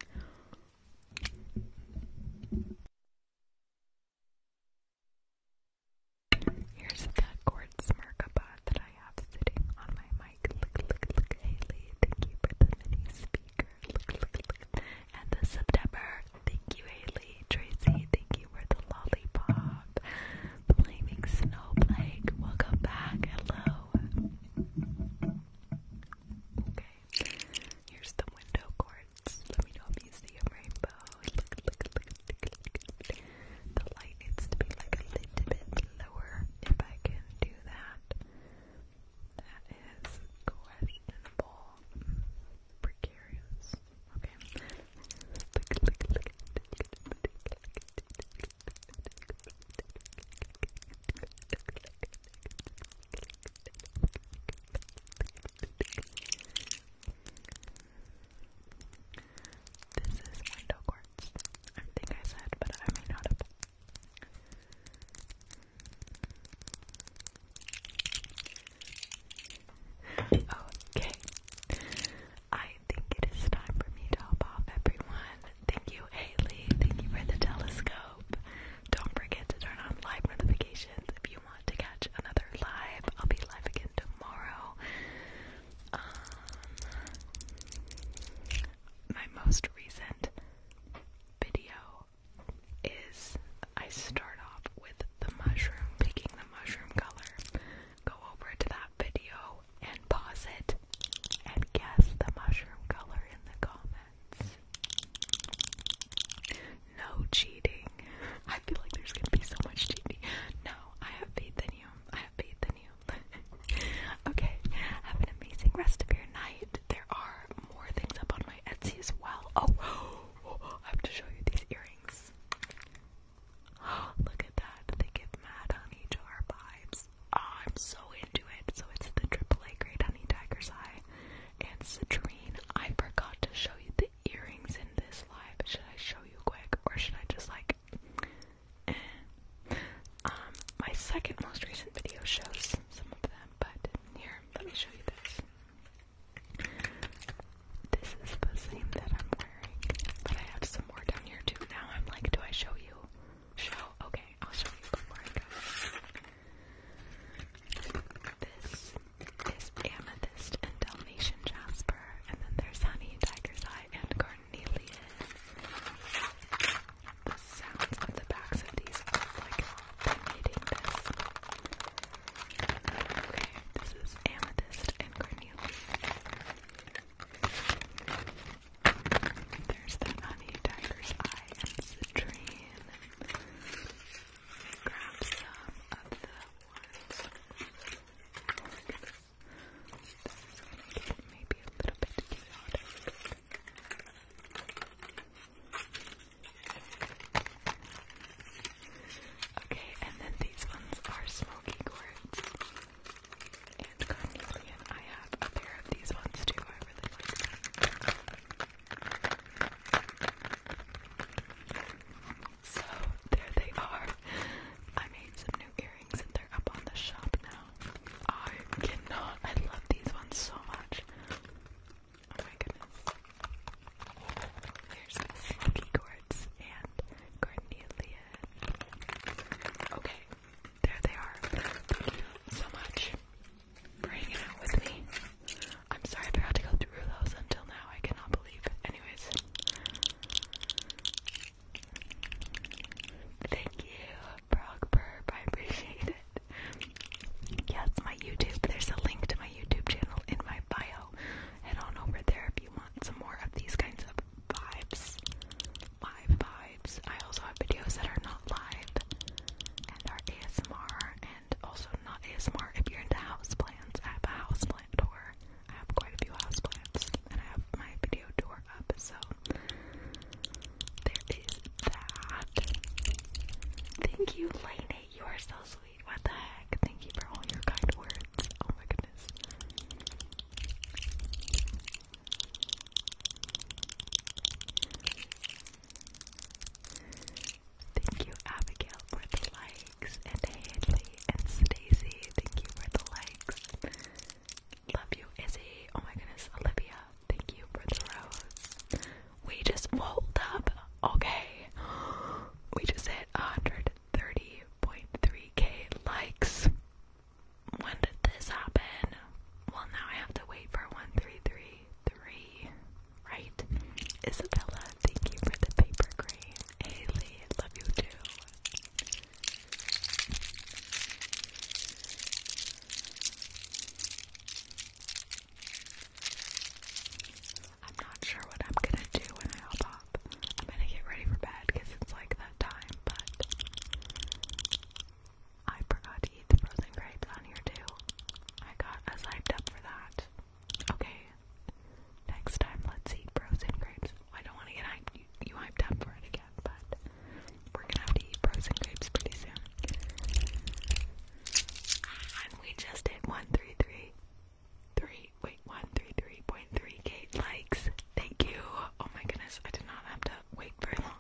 Here's that quartz Merkaba that I have sitting on my mic. Look, look, look, Haley. Thank you for the mini speaker. Look, look, look. And the September. Thank you, Haley. Tracy, thank you for the lollipop. Flaming Snowflake. Welcome back. Hello. Okay. Here's the window cords. Let me know if you see a rainbow. The light needs to be like a little bit lower if I can do that. That is questionable. Precarious. Okay. This is window quartz. I think I said, but I may not have. Okay. I think it is time for me to hop off, everyone. Thank you, Haley. Thank you for the telescope. Don't forget to turn on live notifications if you want to catch another live. I'll be live again tomorrow. Um, my most recent video is I start off with the mushroom, picking the mushroom color. Go over to that video and pause it and guess the mushroom color in the comments comments. No cheating. I feel like there's gonna be so much cheating. No, I have faith in you. I have faith in you. okay, have an amazing rest of your night. There are more things up on my Etsy as well. Oh, oh I have to show you these earrings. Oh, look at that. They give mad honey jar vibes. Oh, I'm so into it. So it's the AAA grade honey tiger's eye. And Citrine, I forgot to show you the earrings in this live. Should I show you quick or should I just like eh? Um, my second most recent video shows some of them, but here, let me show you this. This is the same that I'm wearing, but I have some more down here too. Now I'm like, do I show you? Show? Okay, I'll show you before I go. This is amethyst and Dalmatian jasper, and then there's honey, tiger's eye, and carnelian. The sounds of the backs of these like they this. Okay, this is amethyst and carnelian. There's the honey, tiger's eye, and citrine and grab some of the ones. This is going to get maybe a little bit chaotic. Okay, and then these ones are smoky quartz and carnelian. I have a pair of these ones too. I really like them. So there they are. I made some new earrings and they're up on the shop now. I cannot. I love these ones so much. Oh my goodness. Here's the Slinky Quartz and Cornelia. Okay, there they are. so much for hanging out with me. I'm sorry I had to go through those until now. I cannot believe. Anyways, thank you, Brock I appreciate it. Yes, my YouTube. There's a link to my YouTube channel in my bio. Head on over there if you want some more of these kinds of vibes. Live vibes. I also have videos that are not live and are ASMR and also not ASMR if you're into houseplants. I have a houseplant tour. I have quite a few houseplants, and I have my video tour up, so there is that. Thank you, Lainey. You are so sweet. What the heck? Thank you for all your kind words. Oh my goodness. Thank you, Abigail, for the likes, and Haley and Stacy. Thank you for the likes. Love you, Izzy. Oh my goodness, Olivia. Thank you for the rose. We just rolled up. Okay, we just hit 130.3k likes. When did this happen? Well, now I have to wait for 1333. Right. Isabella, thank you for the paper cream. Haley, love you too. I'm not sure what I'm gonna do when I hop up. I'm gonna get ready for bed because it's like that time, but I forgot to eat the frozen grapes on here too. I got as hyped up for that. Okay, next time let's eat frozen grapes. I don't want to get hyped, you, hyped up for it again, but we're gonna have to eat frozen grapes pretty soon. And we just hit 133. wait, 133.3k likes. Thank you. Oh my goodness, I did not have to wait very long.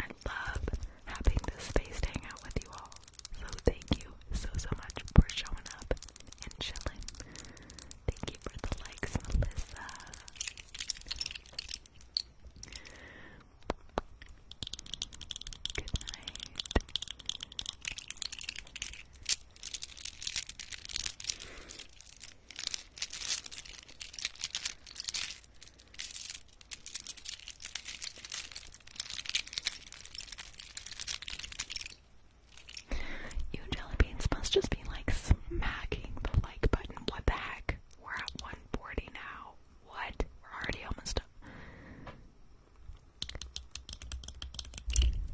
I love having this space to hang out with you all. So thank you so so much for showing up and chilling. Thank you for the likes, Melissa. Good night. You jelly must just be like smacking the like button. What the heck? We're at 140 now. What? We're already almost up.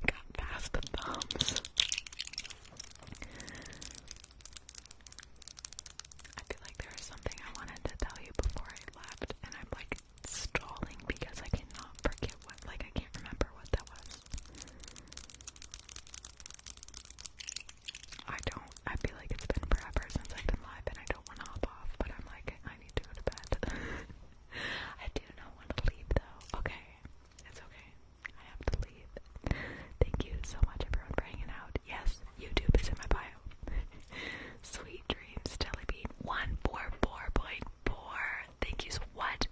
Got past the thumbs. I feel like there was something I wanted to tell you before I left, and I'm like stalling because I cannot forget what, like, I can't remember what that was. I don't, I feel like it's been forever since I've been live, and I don't want to hop off, but I'm like, I need to go to bed. I do not want to leave though. Okay, it's okay. I have to leave. Thank you so much, everyone, for hanging out. Yes, YouTube is in my bio. Sweet dreams, Jellybean. 144.4. Thank you so What?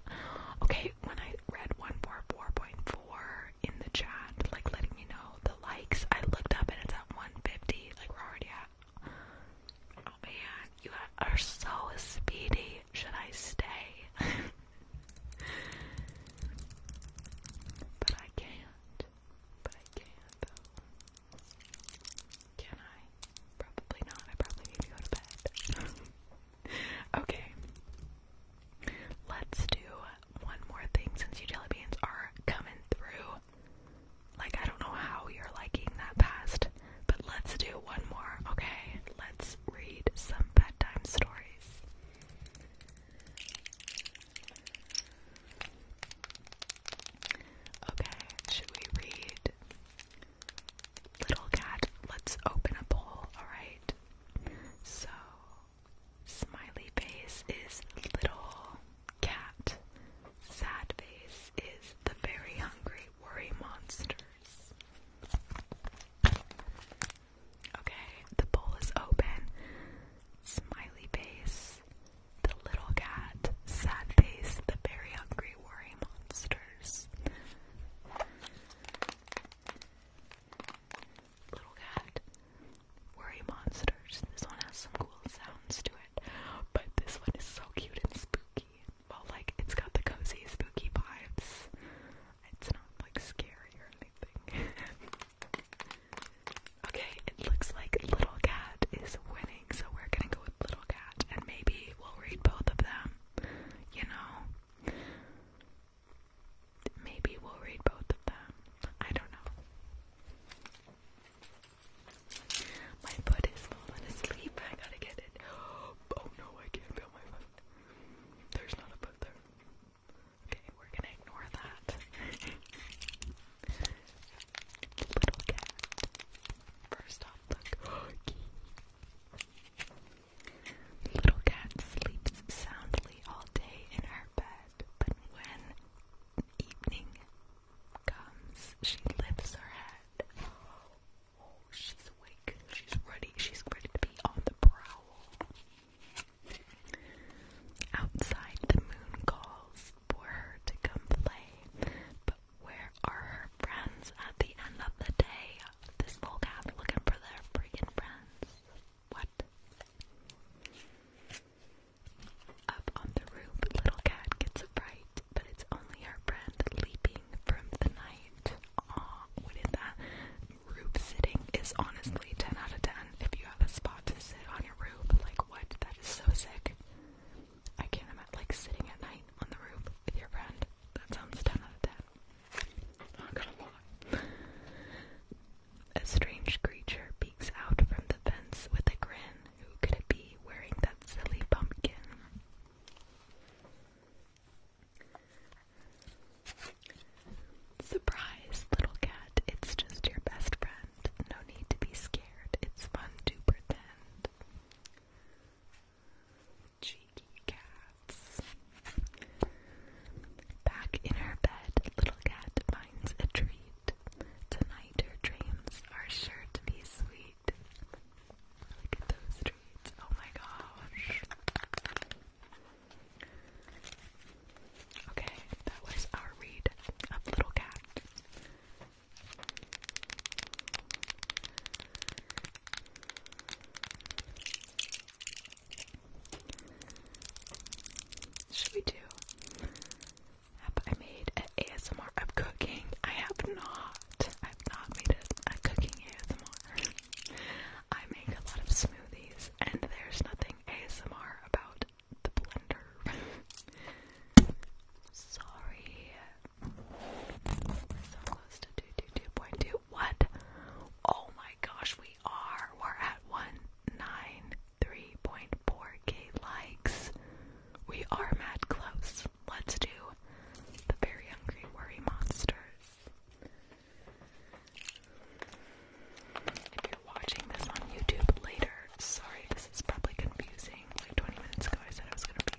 Okay, when I read 144.4 in the chat, like letting me know the likes, I looked up and it's at 150. Like, we're already at. Oh man, you are so speedy. Should I stay? but I can't. But I can, though. Can I? Probably not. I probably need to go to bed. okay. Let's do one more thing since you jelly beans are coming through. Like, I don't know how you're liking that past, but let's do one more, okay? Let's read some bedtime stories. Okay, should we read? Little cat, let's open a poll, alright? So, smiley face is little cat, sad face is the very hungry worry monsters. Okay, the bowl is open. Smiley face, the little cat, sad face, the very hungry worry monsters. Little cat, worry monsters. This one has some cool sounds to it, but this one is so cute and spooky. Well, like it's got the cozy, spooky vibes. It's not like scary or anything. Okay, it looks like Little Cat is winning, so we're gonna go with Little Cat, and maybe we'll read both of them. You know? Maybe we'll read both of them. I don't know. My foot is falling asleep. I gotta get it. Oh no, I can't feel my foot. There's not a foot there. Okay, we're gonna ignore that. Little cat. First off, look. Little cat sleeps soundly all day in her bed, but when evening comes, she lifts her head. Oh, she's awake. She's ready. She's ready to be on the prowl. Outside the moon calls for her to come play, but where are her friends at the end of the day? This little cat's looking for their freaking friends. What? Up on the roof, little cat gets a fright, but it's only her friend leaping from the night. Aw, what is that? Roof sitting is honestly 10 out of 10. If you have a spot to sit on like, what? That is so sick. I can't imagine, like, sitting at night on the roof with your friend. That sounds 10 Not gonna lie. A strange creature peeks out from the fence with a grin. Who could it be wearing that silly pumpkin? Surprise, little cat, it's just your best friend. No need to be scared, it's fun to pretend. Cheeky cats. Back in her bed, little cat finds a treat. Tonight her dreams are sure to be sweet. Look at those treats, oh my gosh. Okay, that was our read of Little Cat. Should we do? Have I made an ASMR of cooking? I have not. I've not made a, a cooking ASMR. I make a lot of smoothies, and there's nothing ASMR about the blender. Sorry. so close to 222.2. What? Oh my gosh, we are. We're at 193.4k likes. We are mad close. Let's do the very hungry worry monsters. If you're watching this on YouTube later, sorry, this is probably confusing. Like 20 minutes ago, I said I was gonna be.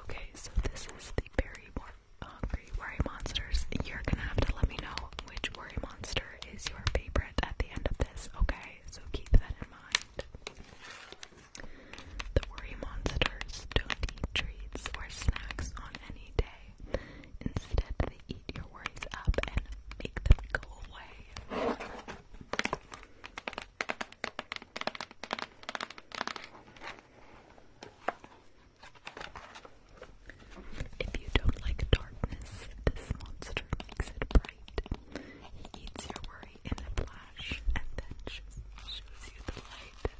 Okay, so this is the berry hungry worry monsters. You're gonna have to let me know which worry monster is your favorite at the end of this, okay? So keep that in mind. The worry monsters don't eat treats or snacks on any day. Instead, they eat your worries up and make them go away. If you don't like darkness, this monster makes it bright. He eats your worry in the flash and then just shows you the light.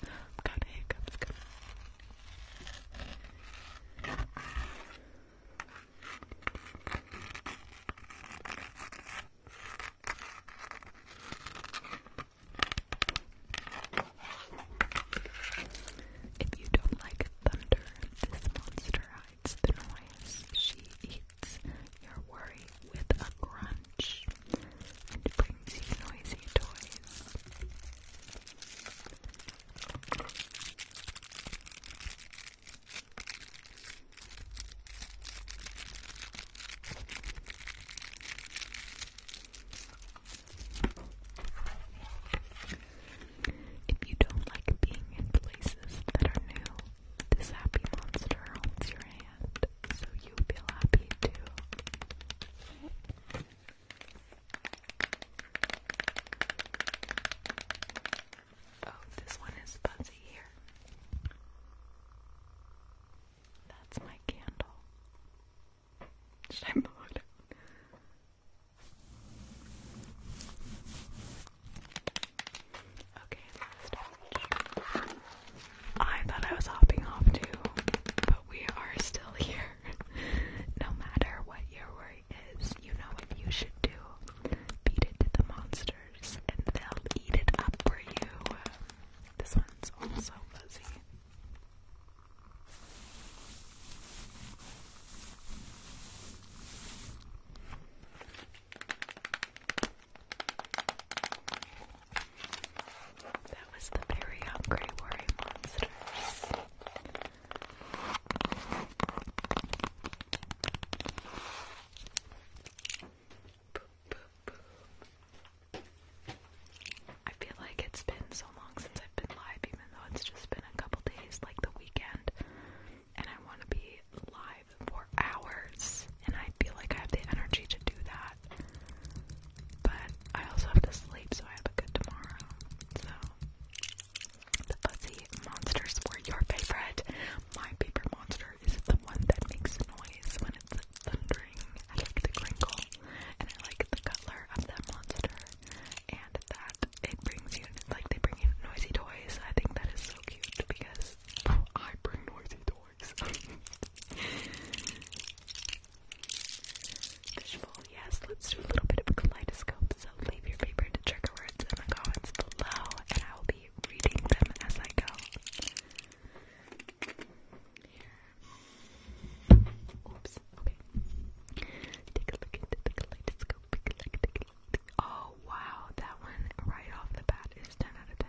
If you don't like thunder, this monster hides the She eats your worry with a crunch and brings you noisy toys. If you don't like being in places that are new, this happy monster holds your hand so you feel happy too. Oh, this one is fuzzy here. That's my candle. Should I blow it Okay, last touch. I thought I was hopping off too, but we are still here. no matter what your worry is, you know what you should do. Beat it to the monsters, and they'll eat it up for you. This one's also fuzzy. That was the very hungry worry monsters. I feel like it's been so long since I've been live, even though it's just been a couple days, like the weekend, and I want to be live for hours, and I feel like I have the energy to do that. But I also have to sleep, so I have a good tomorrow. So, the fuzzy monsters were your favorite. My favorite monster is the one that makes noise when it's thundering. I like the crinkle, and I like the color of that monster, and that it brings you like they bring you noisy toys. I think that is so cute because I bring noisy toys yes, let's do a little bit of a kaleidoscope. So leave your favorite trigger words in the comments below, and I will be reading them as I go. Oops, okay. Take a look into the kaleidoscope. Oh wow, that one right off the bat is 10 out of 10.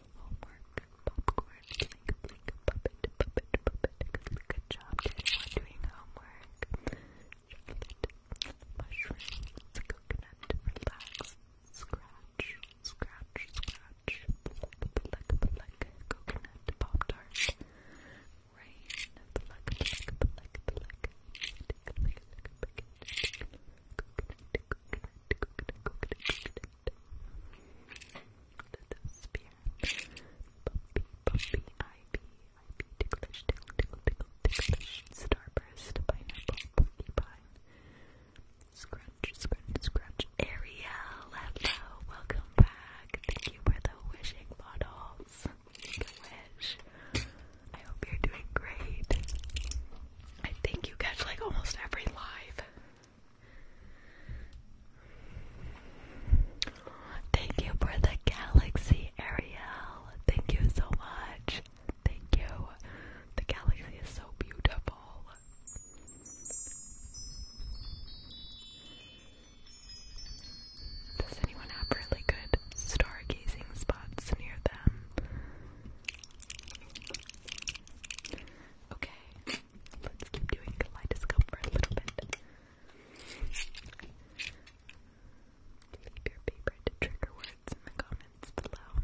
homework, popcorn, blink, blink, puppet, puppet, puppet. Good job, everyone doing homework. Chocolate, coconut, relax, scratch, scratch, scratch, pluck, pluck, coconut, pop tart, rain, pluck, pluck, pluck, pluck, coconut, coconut, coconut, coconut, coconut. Let those be Puppy, puppy, ivy, ticklish, tickle, tickle, tickle, ticklish, starburst, pineapple, porcupine, scrunch, scrunch, scrunch, Ariel, hello, welcome back, thank you for the wishing bottles, make I hope you're doing great, I think you catch like almost every live, Thank you for the galaxy, Ariel. Thank you so much. Thank you. The galaxy is so beautiful. Does anyone have really good stargazing spots near them? Okay. Let's keep doing kaleidoscope for a little bit. Leave your favorite trigger words in the comments below.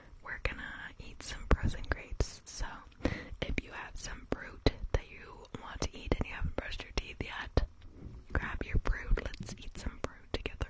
we're gonna eat some frozen grapes. So, if you have some fruit that you want to eat and you haven't brushed your teeth yet, grab your fruit. Let's eat some fruit together.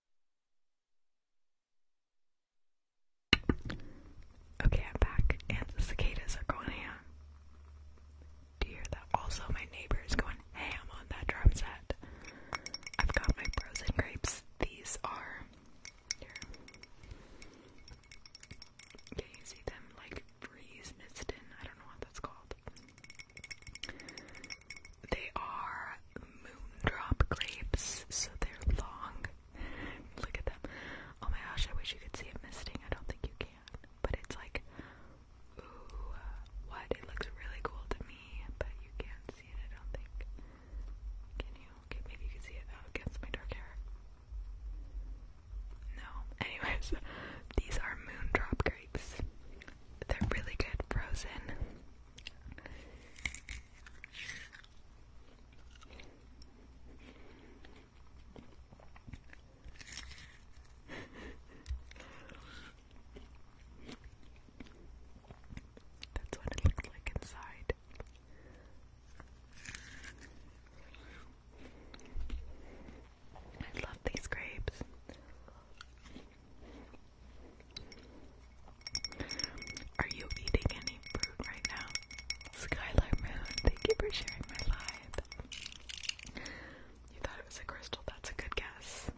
Okay, I'm back, and cicadas are going ham. Do you hear that? Also, my neighbor is going ham on that drum set. I've got my frozen grapes. These are here. Can you see them like breeze misted I don't know what that's called. They are moondrop grapes, so they're long. Look at them. Oh my gosh, I wish you could see it misting. I don't think you can. But it's like, ooh, what? It looks really cool to me, but you can't see it, I don't think. Can you? Okay, maybe you can see it out oh, against my dark hair. No. Anyways, these are moondrop grapes. They're really good frozen. That's what it looks like inside. I love these grapes. Are you eating any fruit right now? Skylar Moon, thank you for sharing my vibe. You thought it was a crystal, that's a good guess.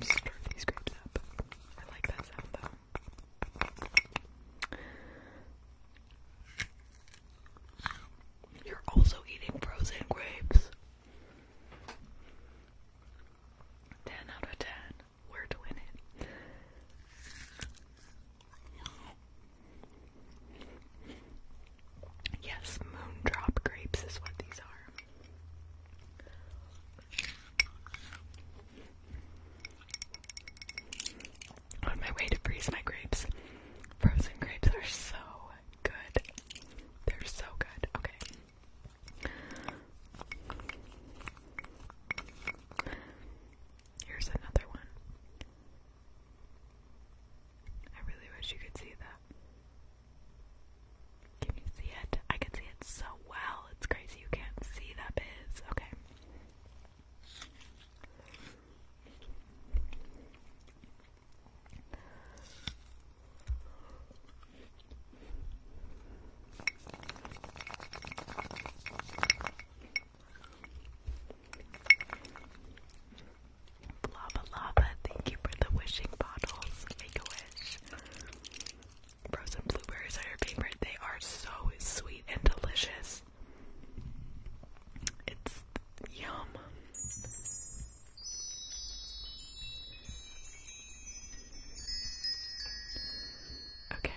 Just stir up. I like that sound though. You're also eating frozen grapes. 10 out of 10. We're doing it. Yes, moondrop grapes is what these are. On my way to freeze my grapes. Frozen grapes are so good. They're so good. Okay. Here's another one. I really wish you could see that. Can you see it? I can see it so well. It's crazy you can't see that biz. Okay. Lava Lava, thank you for the wishing bottles. Make a wish. Frozen blueberries are your favorite. They are so sweet and delicious. It's yum. Okay.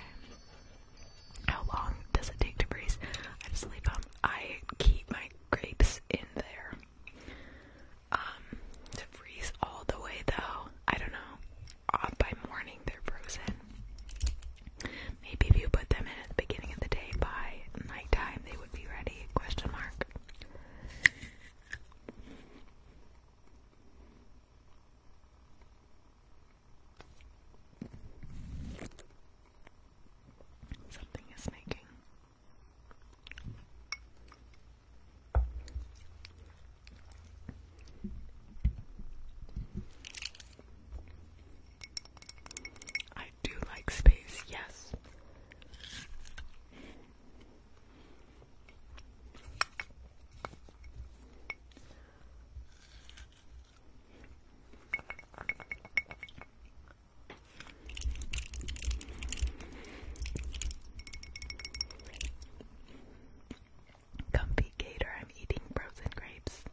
How long does it take to freeze? I just leave them. I keep my grapes in there. Um, to freeze all the way though, I don't know. Uh, by morning they're frozen. Maybe if you put them in at the beginning of the day, by nighttime they would be ready. Question mark. Something is making I do like space, yes. Comfy Gator, I'm eating frozen grapes.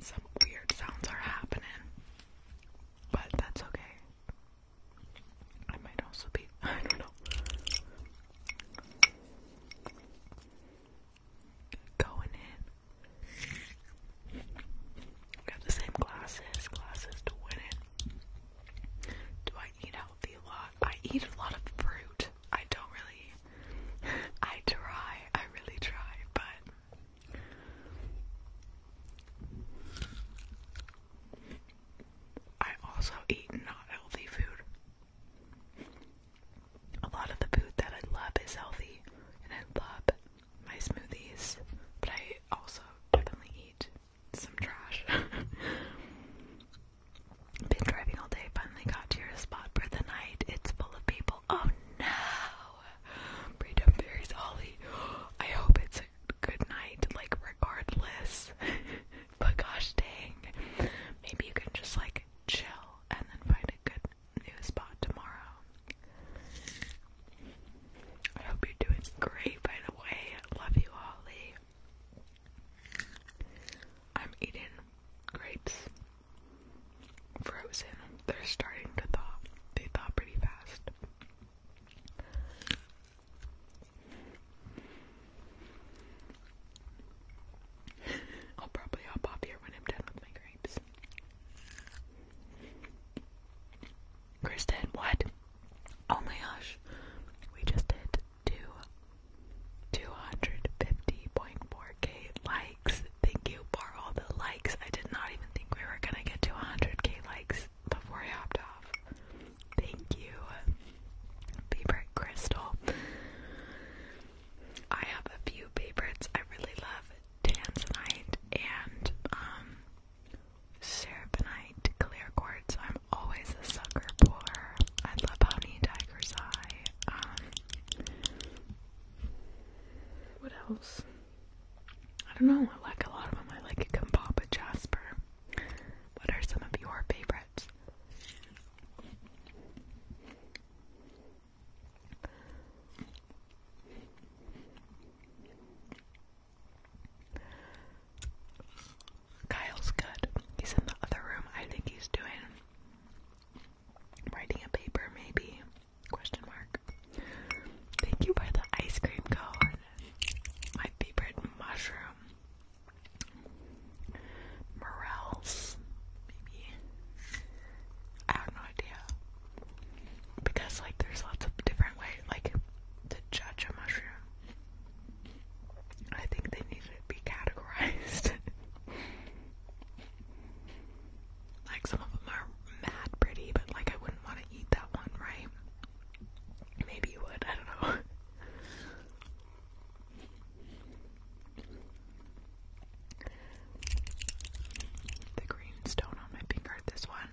Some weird sounds are happening, but that's okay. I might also be, I don't know, going in. We have the same glasses, glasses to win it. Do I eat healthy a lot? I eat a lot of fruit. I don't really, I try, I really try, but I also eat not healthy food. A lot of the food that I love is healthy, and I love my smoothies, but I also definitely eat some trash. Been driving all day, finally got to your spot for the night. It's full of people. Oh no! Freedom Fairies Ollie. I hope it's a good night, like regardless. but gosh dang. Maybe you can just like chill and then find a good new spot tomorrow. I hope you're doing great by the way. Love you, Ollie. I'm eating grapes frozen. They're starting to thaw. They thaw pretty fast. I'll probably hop off here when I'm done with my grapes. Kristen, what? Oh my gosh. We just did two 250.4k Thank you for all the likes. I did not even think we were gonna get to 100k likes before I hopped off. Thank you, favorite crystal. I have a few favorites. I really love Tanzanite and um, clear quartz. I'm always a sucker for. I love Honey Tiger's Eye. Um, what else? I don't know. I like a lot of them. I like Kumbaba Jasper. What are some of your favorites? Kyle's good. He's in the other room. I think he's doing writing a paper, maybe. Question mark. Thank you for the ice cream cone. My favorite mushroom. Morels, maybe. I have no idea. Because like there's lots of different ways like to judge a mushroom. I think they need to be categorized. Like some of them are mad pretty, but like I wouldn't want to eat that one, right? Maybe you would, I don't know. the green stone on my finger, this one.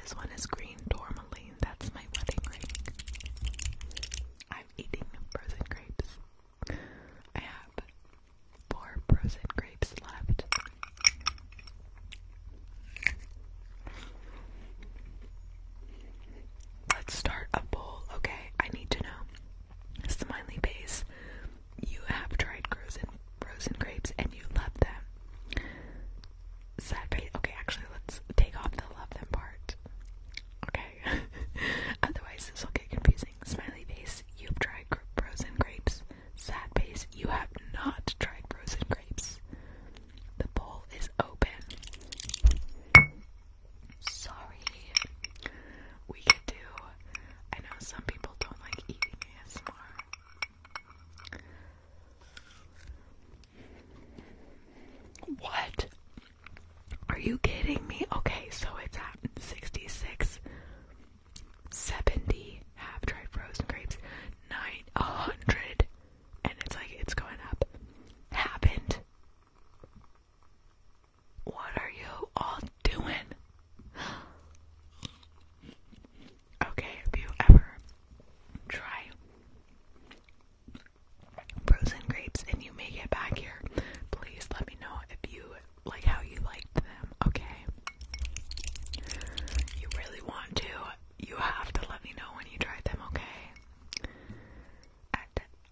This one is green tourmaline. That's my wedding ring. I'm eating frozen grapes. I have four frozen grapes left. Let's start a bowl, okay? I need to know. Smiley base, you have tried frozen frozen grapes and you love them. Okay, actually, let's take off the love them part. Okay. Otherwise, this will get confusing. Smiley face, you've tried frozen grapes. Sad face, you have not tried frozen grapes. The bowl is open. Sorry. We could do. I know some people don't like eating ASMR. What? Are you kidding me? Okay, so it's at 66, 70 half dried frozen grapes, 900, and it's like it's going up. Happened. What are you all doing? Okay, if you ever try frozen grapes and you make it back here, please let me know if you like how you liked them, okay? You really want to, you have to let me know when you tried them, okay?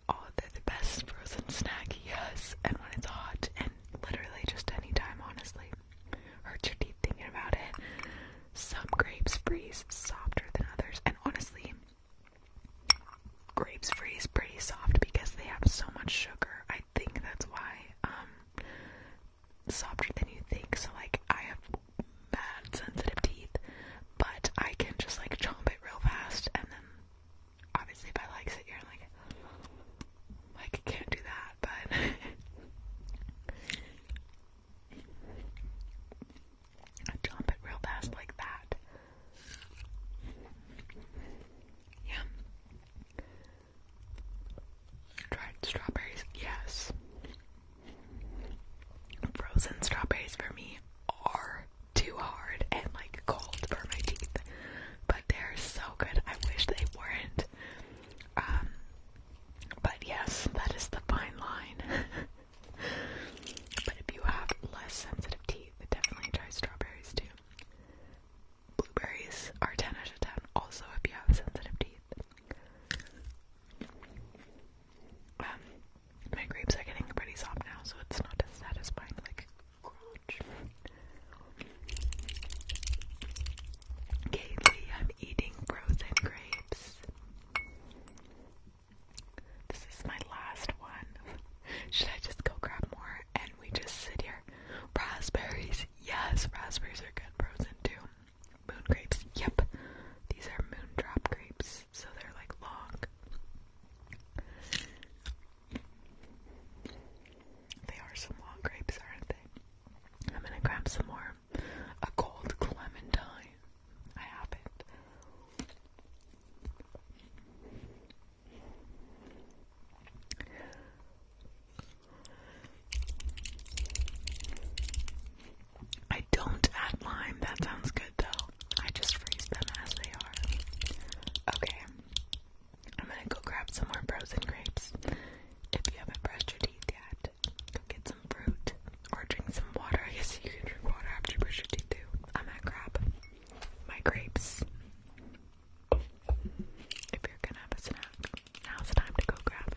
oh, they're the best frozen snack, yes, and when it's hot, and literally just any time, honestly. Hurt your teeth thinking about it. Some grapes freeze softer than others, and honestly, grapes freeze pretty soft because they have so much sugar. I think that's why. Um, softer than you think. So like, I have bad sensitive teeth, but I can just like chomp it real fast, and then obviously if I like sit here and like, like can't do that, but. I it real fast like that. Yeah. Dried strawberries, yes. Frozen strawberries for me are too hard and like cold for my teeth, but they're so good. I wish they weren't. Um, but yes, that is the fine line. but if you have less sensitive teeth, definitely try strawberries too. Blueberries are 10 out of 10, also if you have sensitive teeth. Um, my grapes are getting pretty soft now, so it's not as satisfying like crunch. I'm eating frozen grapes. This is my last one. Should I just go grab more? and we just sit here. Raspberries, yes, raspberries are good frozen too. Moon grapes, yep. These are moon drop grapes, so they're like long. They are some long grapes, aren't they? I'm gonna grab some more. A cold clementine. I have it. I don't add lime. That sounds good though. I just freeze them as they are. Okay. I'm gonna go grab some more frozen grapes. If you haven't brushed your teeth yet, go get some fruit or drink some water. I guess you can drink water after you brush your teeth too. I'm gonna grab my grapes if you're gonna have a snack, now's the time to go grab it.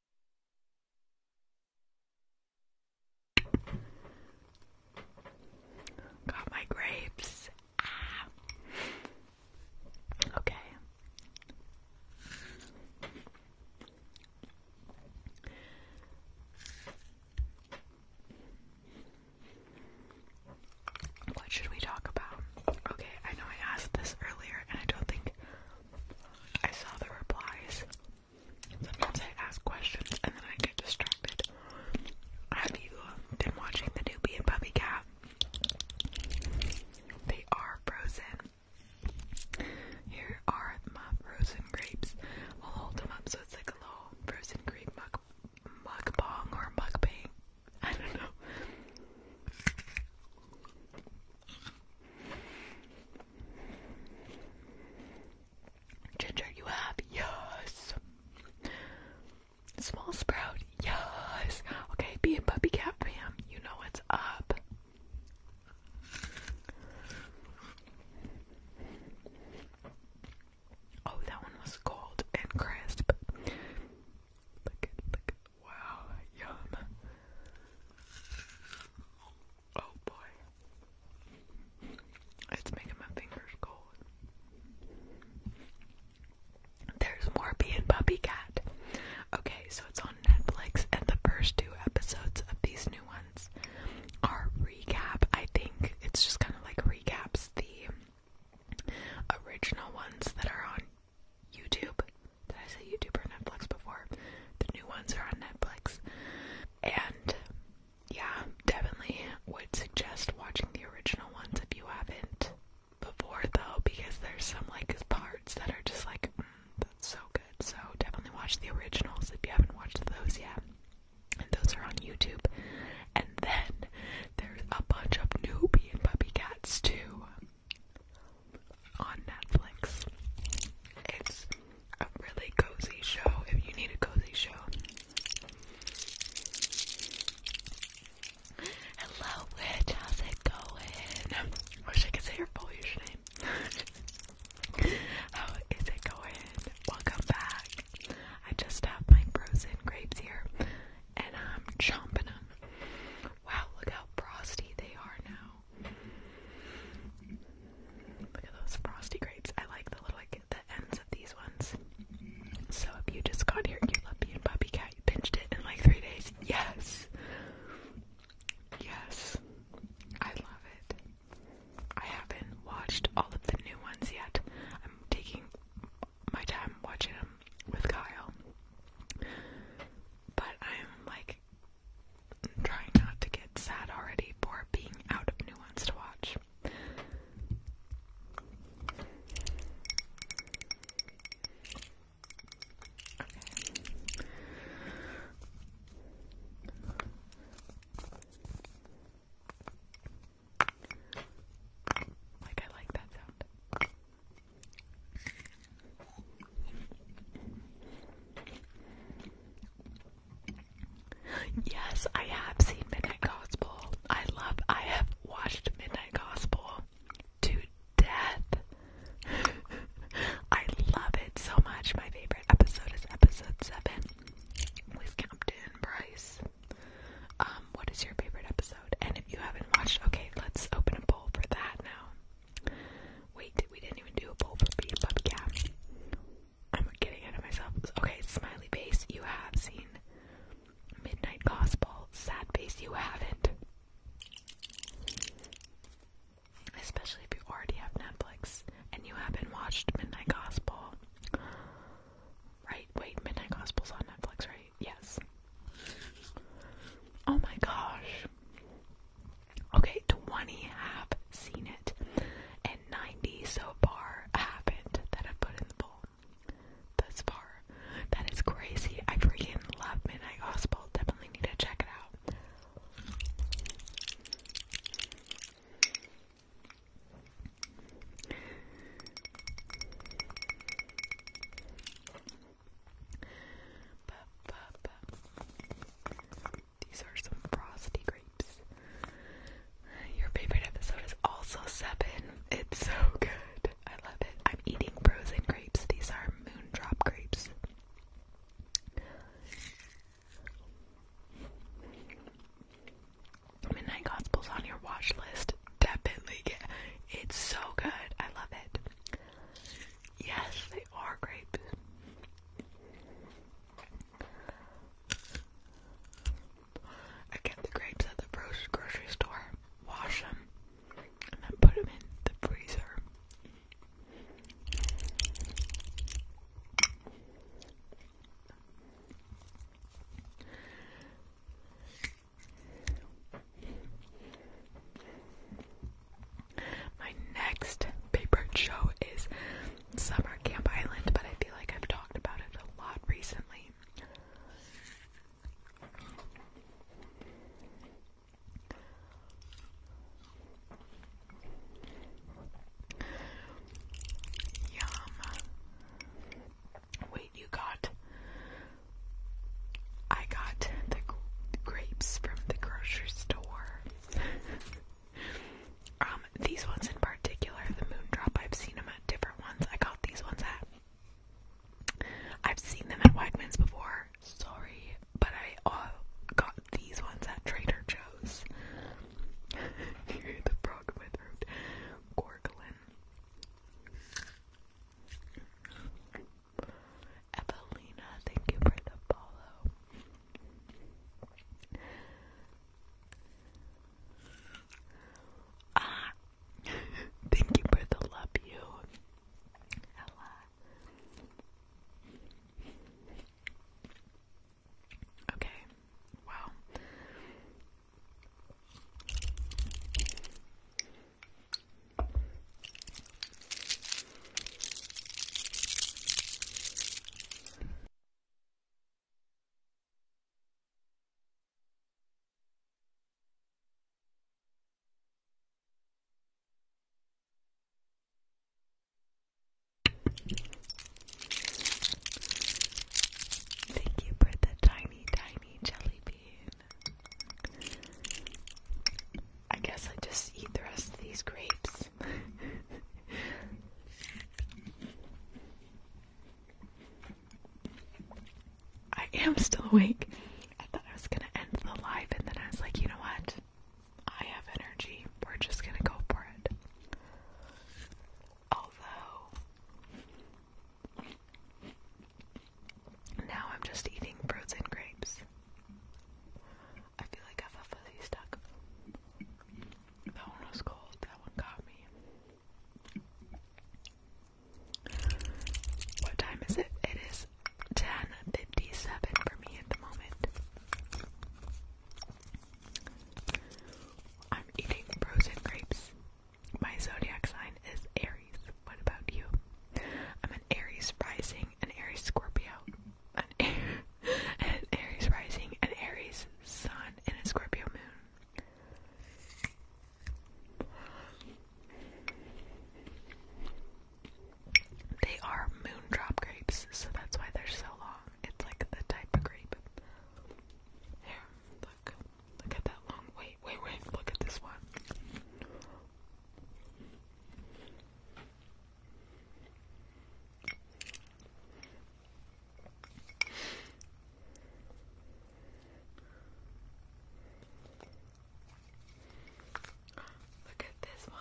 Got my grapes. Ah. Okay. What should we talk about? Okay, I know I asked this earlier and I don't think I saw the replies. Sometimes I ask questions and then I get distracted. Have you been watching the newbie and Puppy Cat? They are frozen. Here are my frozen grapes. I'll hold them up so it's like a little frozen grape mug mukbang or mukbang. I don't know. Ginger, you have? Yes. Small sprout? Yes. Okay, be a puppy cat fam. You know what's up. Oh, that one was cold and crisp. Look at, look at, wow, yum. Oh boy. It's making my fingers cold. There's Morby and Puppy Cat. Okay, so it's on Netflix, and the first two episodes of these new ones are recap. I think it's just kind of like recaps the original ones that are on YouTube. Did I say YouTube or Netflix before? The new ones are on Netflix. And yeah, definitely would suggest watching the original ones if you haven't before, though, because there's some like parts that are just like, mm, that's so good. So definitely watch the originals if you haven't watched those yet. And those are on YouTube. And then there's a bunch of newbie and puppy cats too on Netflix. It's a really cozy show if you need a cozy show. Hello, How's it going? Wish I could say your full username. How is it going? Welcome back. I just have my frozen grapes here, and I'm chomping them. Wow, look how frosty they are now. Look at those frosty grapes. I like the little like the ends of these ones. So if you just got your cute puppy and puppy cat, you pinched it in like three days. Yes. Yes. I love it. I haven't watched all of the new ones yet. I'm taking my time watching them with Kyle. But I'm like I'm trying not to get sad already for being out of new ones to watch. Like I like that sound. Yes, I have seen Midnight Gospel. I love I have watched Midnight Gospel to death. I love it so much. My favorite episode is episode seven with Captain Bryce. Um, what is your favorite episode? And if you haven't watched, okay, let's open a bowl for that now. Wait, we didn't even do a bowl for Beat Bubcap. I'm getting out of myself. Okay, smiley face, you have seen. Midnight Gospel, sad face, you haven't. Especially if you already have Netflix and you haven't watched Midnight Gospel. Right, wait, Midnight Gospel's on Netflix, right? Yes. Oh my gosh. Okay, 20 have seen it, and 90 so far haven't that I've put in the bowl. Thus far. That is crazy. I freaking love Midnight Gospel. Definitely need to check it out. These are some frosty grapes. Your favorite episode is also seven. It's so good. I love it. I'm eating frozen grapes. These are moondrop grapes. Midnight Gospel's on your watch list. Definitely get it's so good. I love it. Yes, they are grapes. I get the grapes at the grocery store, wash them, and then put them in the freezer. My next favorite show is Summer Camp Island, but I feel like I've talked about it a lot recently. Yum. Wait, you got. I got the grapes from the grocery store. Um, these ones in particular, the Moon Drop. I've seen them at different ones. I got these ones at. I've seen them at Wegmans before. Sorry, but I uh, got these ones at Trader Joe's. the frog in my throat Evelina, thank you for the Ah, thank you for the love, you, Ella. Okay, wow. Thank you for the tiny, tiny jelly bean. I guess I just eat the rest of these grapes. I am still awake. I thought I was gonna end the live, and then I was like, you know what? I have energy. We're just gonna go for it. Although, now I'm just eating frozen grapes. I feel like I have a fuzzy stuck. That one was cold, that one got me. What time is it? It is 10.57 for me at the moment. I'm eating frozen grapes. My zodiac sign is Aries. What about you? I'm an Aries rising, an Aries Scorpio. an, Aries rising, an Aries sun, and a Scorpio moon. They are moondrop grapes, so that's why they're so long. It's like the type of grape. Here, look. Look at that long. Wait, wait, wait. Look at this one. Look at this one.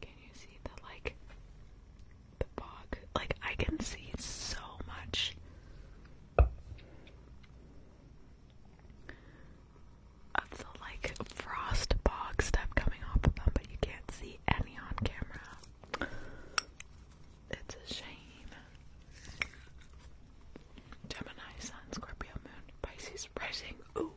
Can you see the like the bog? Like I can see so much of the like frost bog stuff coming off of them, but you can't see any on camera. It's a shame. Gemini, Sun, Scorpio, Moon, Pisces, Rising. Ooh.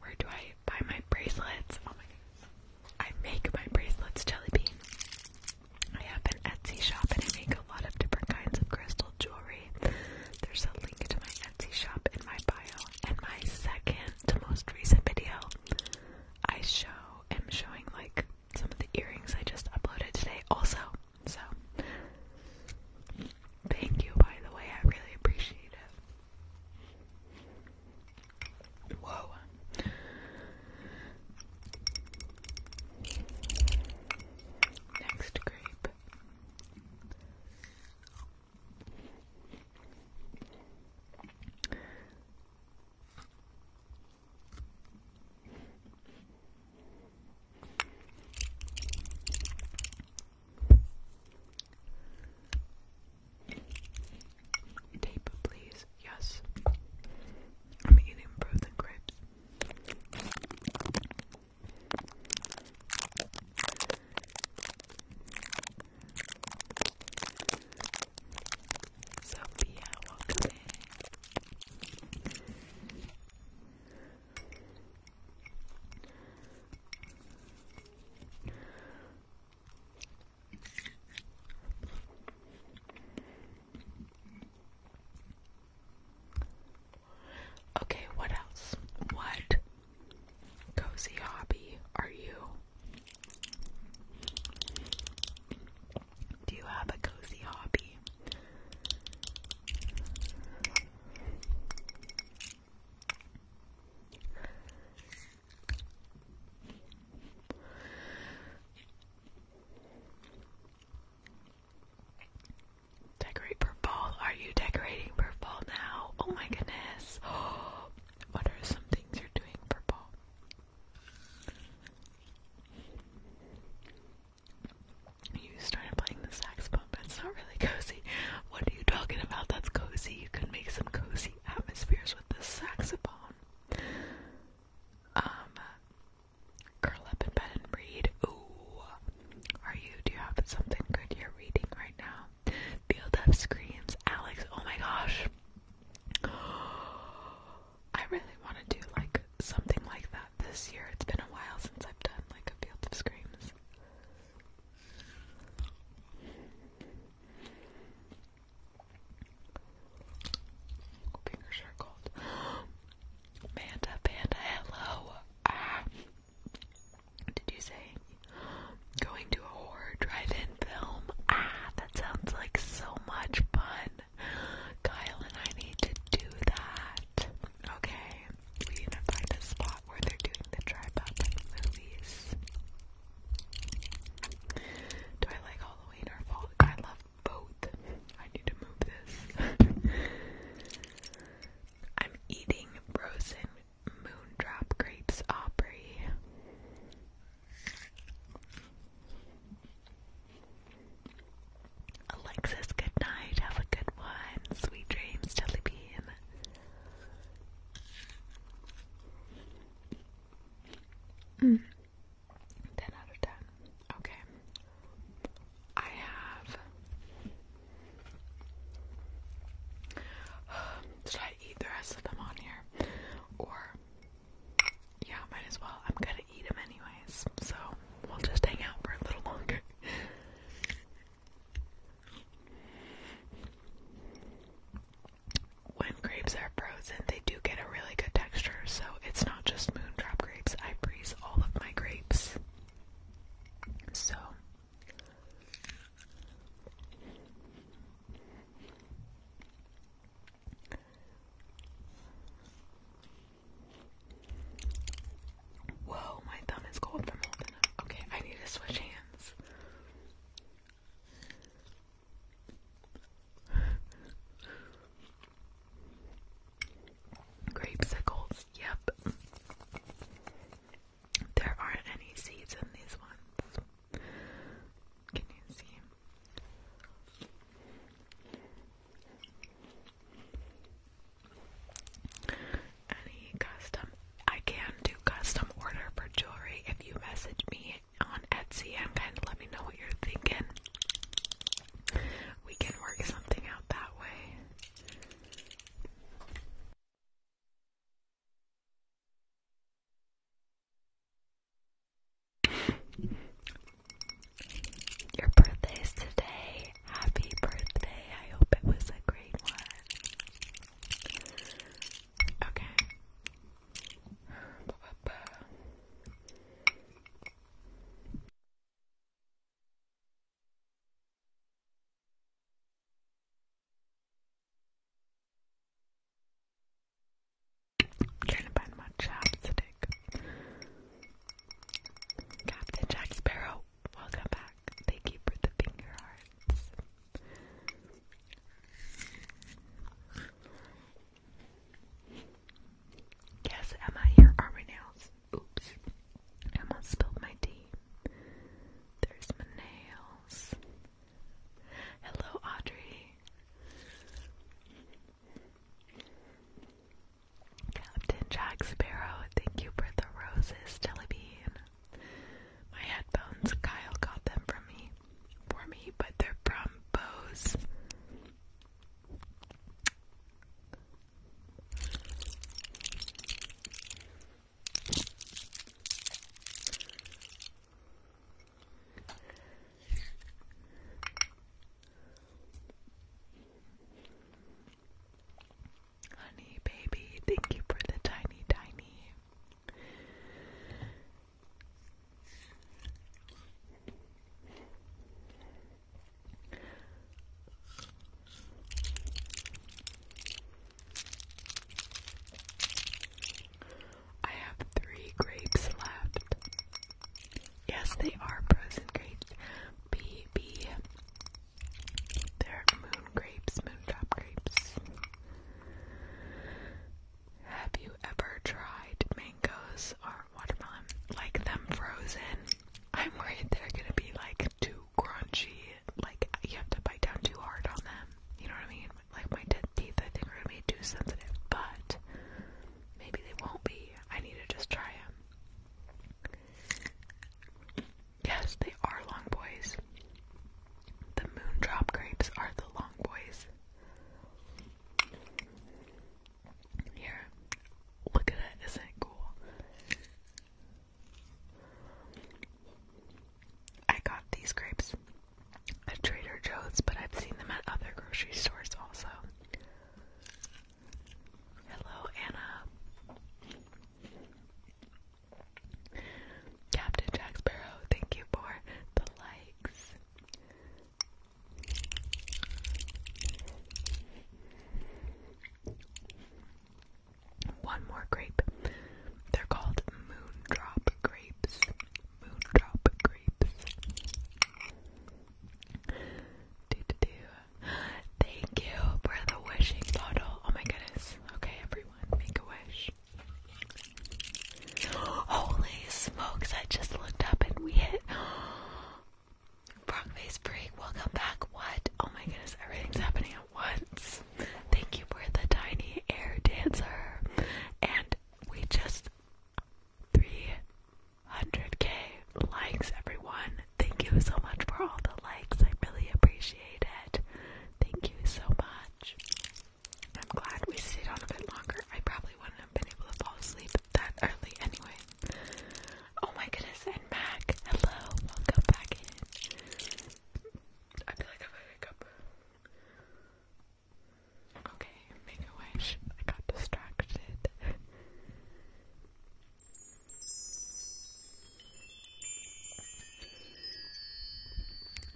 Where do I buy my bracelets? Oh my goodness. I make my bracelets, Jellybean. I have an Etsy shop and I make a lot of different kinds of crystal jewelry. There's a link to my Etsy shop in my bio. And my second to most recent video, I show am showing like some of the earrings I just uploaded today also. So Thank you, by the way. I really appreciate it. Whoa. Next grape. Tape, please. Yes. I'm eating frozen grapes. Sophia, welcome Okay, what else? What cozy hobby are you? Do you have a cozy hobby? Decorate for fall. Are you decorating for fall now? Oh my goodness. What are some things you're doing for fall? You started playing the saxophone, but it's not really cozy. What are you talking about? That's cozy. You can make some cozy atmospheres with the saxophone. Um, curl up in bed and read. Ooh, are you? Do you have something good you're reading right now? Field of Screams, Alex. Oh my gosh. I really want to do like something like that this year. It's been a while since I've done like a Field of Screams. Fingers are cold. Panda, panda, hello. Ah. Did you say going to a horror drive-in film? Ah, that sounds like so much fun. Kyle and I need to do that. Okay we identified the spot where they're doing the tripod movies. Do I like Halloween or fall? I love both. I need to move this. I'm eating frozen moon drop grapes, Aubrey. Alexis, good night. Have a good one. Sweet dreams, Jellybean. Mm. 10 out of 10. Okay. I have. Should I eat the rest of them on here? Or. Yeah, might as well. I'm gonna eat them anyways. So we'll just hang out for a little longer. When grapes are frozen, they do get a really good texture, so it's not just moondrop grapes. I freeze all of my grapes. So. Whoa, my thumb is cold from holding up. Okay, I need to switch hands. Grapesicles, yep. There aren't any seeds in these ones. Can you see? Any custom? I can do custom order for jewelry if you message me on Etsy and let me know what you're thinking. We can work something out that way. Your birthday is today happy birthday. I hope it was a great one. Okay. I'm trying to find my chapstick. Captain Jack Sparrow. Welcome back. Thank you for the finger hearts. Yes, Emma, here are my nails. Oops. Emma spilled my tea. There's my nails. Hello, Audrey. Captain Jack Sparrow, thank you for the roses, Jellybean. My headphones, Kyle got them from me for me, but they're from Bose. Honey, baby, thank you for the tiny, tiny. I have three grapes left. Yes, they are frozen grapes. B, they're moon grapes, moondrop grapes. Have you ever tried mangoes or watermelon? Like them frozen? I'm worried they're gonna be like too crunchy. Like you have to bite down too hard on them. You know what I mean? Like my teeth, I think, are gonna be too sensitive. But maybe they won't be. I need to just try them. Yes, they are long boys. The moon drop grapes are the long boys. Here, look at it. Isn't it cool? I got these grapes at Trader Joe's, but I've seen them at other grocery stores also. Hello, Anna. Captain Jack Sparrow, thank you for the likes. One more grape. They're called Moondrop grapes. Moondrop grapes. Thank you for the wishing bottle. Oh my goodness. Okay, everyone, make a wish. Holy smokes, I just looked up and we hit. Wrong face welcome back. What? Oh my goodness, everything's happening at once. Thank you for the tiny air dancer. And we just 300k likes, everyone. Thank you so much for all the likes. I really appreciate it. Thank you so much. I'm glad we stayed on a bit longer. I probably wouldn't have been able to fall asleep that early anyway. Oh my goodness, and Mac, hello, welcome back I feel like I have a hiccup. Okay, make a wish. I got distracted.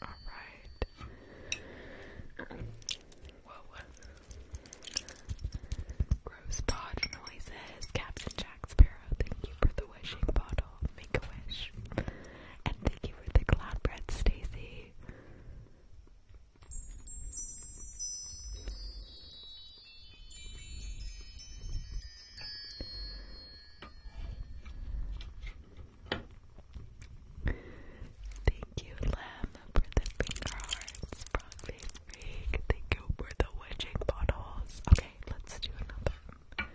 Alright. Whoa. Gross noises. Captain Jack Sparrow, thank you for the wishing bottle. Make a wish. And thank you for the cloud bread, Stacy. Thank you, Lamb, for the finger hearts. Broadway Freak. Thank you for the wedging bottles. Okay, let's do another.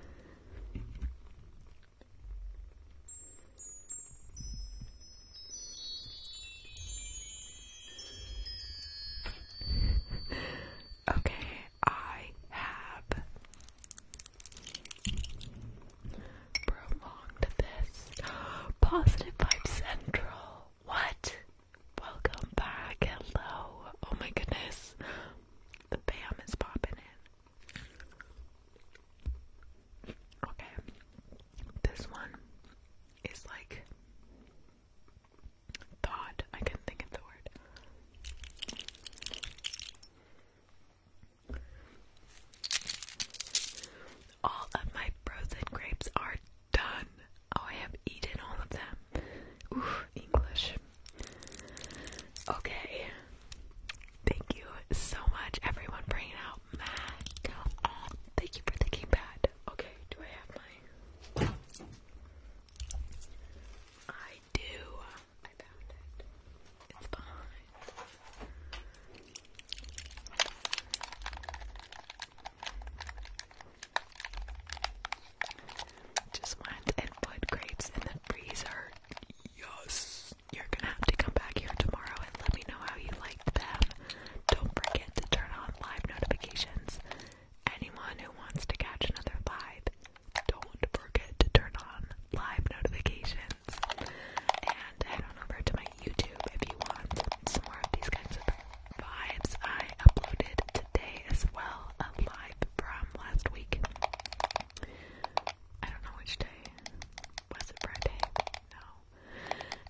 Okay, I have prolonged this. Positive Vibe Central. What? Welcome back. Hello. Oh my goodness. The BAM is popping in. Okay. This one is like thought. I couldn't think of the word. All of my frozen grapes are done. Oh, I have eaten all of them. English. Okay. Thank you so much, everyone. Bringing out Mac. thank you for thinking bad. Okay, do I have my? I do. I found it. It's behind. Just went and put grapes in the freezer. Yes. You're gonna have to come back here tomorrow and let me know how you liked them. Don't forget to turn on live notifications Anyone who wants to catch another live, don't forget to turn on live notifications and head on over to my YouTube if you want some more of these kinds of vibes. I uploaded today as well a live from last week. I don't know which day. Was it Friday? No.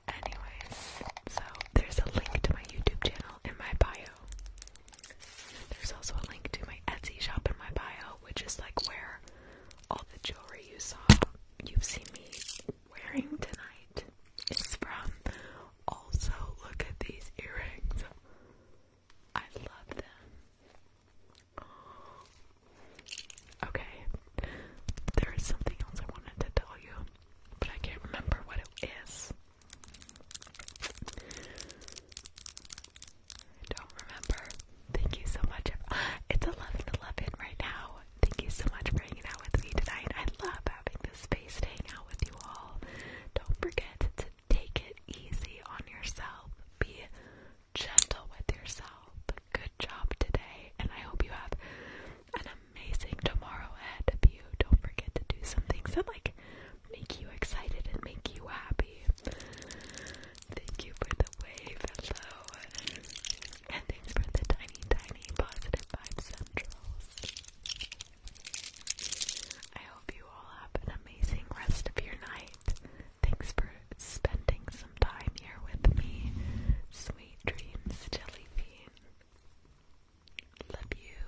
Anyways, so there's a link to my YouTube channel in my bio there's also a link to my Etsy shop in my bio, which is like where all the jewelry you saw, you've seen me wearing tonight, is from. Also, look at these earrings. I love them. Okay, there is something else I wanted to tell you, but I can't remember what it is don't remember. Thank you so much. It's 11 right now. Thank you so much for hanging out with me tonight. I love having this space to hang out with you all. Don't forget to take it easy on yourself. Be gentle with yourself. Good job today, and I hope you have an amazing tomorrow ahead of you. Don't forget to do some things that, like, make you excited and make you happy. Thank you for the wave, hello. And thanks for the tiny, tiny positive vibe centrals. I hope you all have an amazing rest of your night. Thanks for spending some time here with me. Sweet dreams, Jellybean. Love you.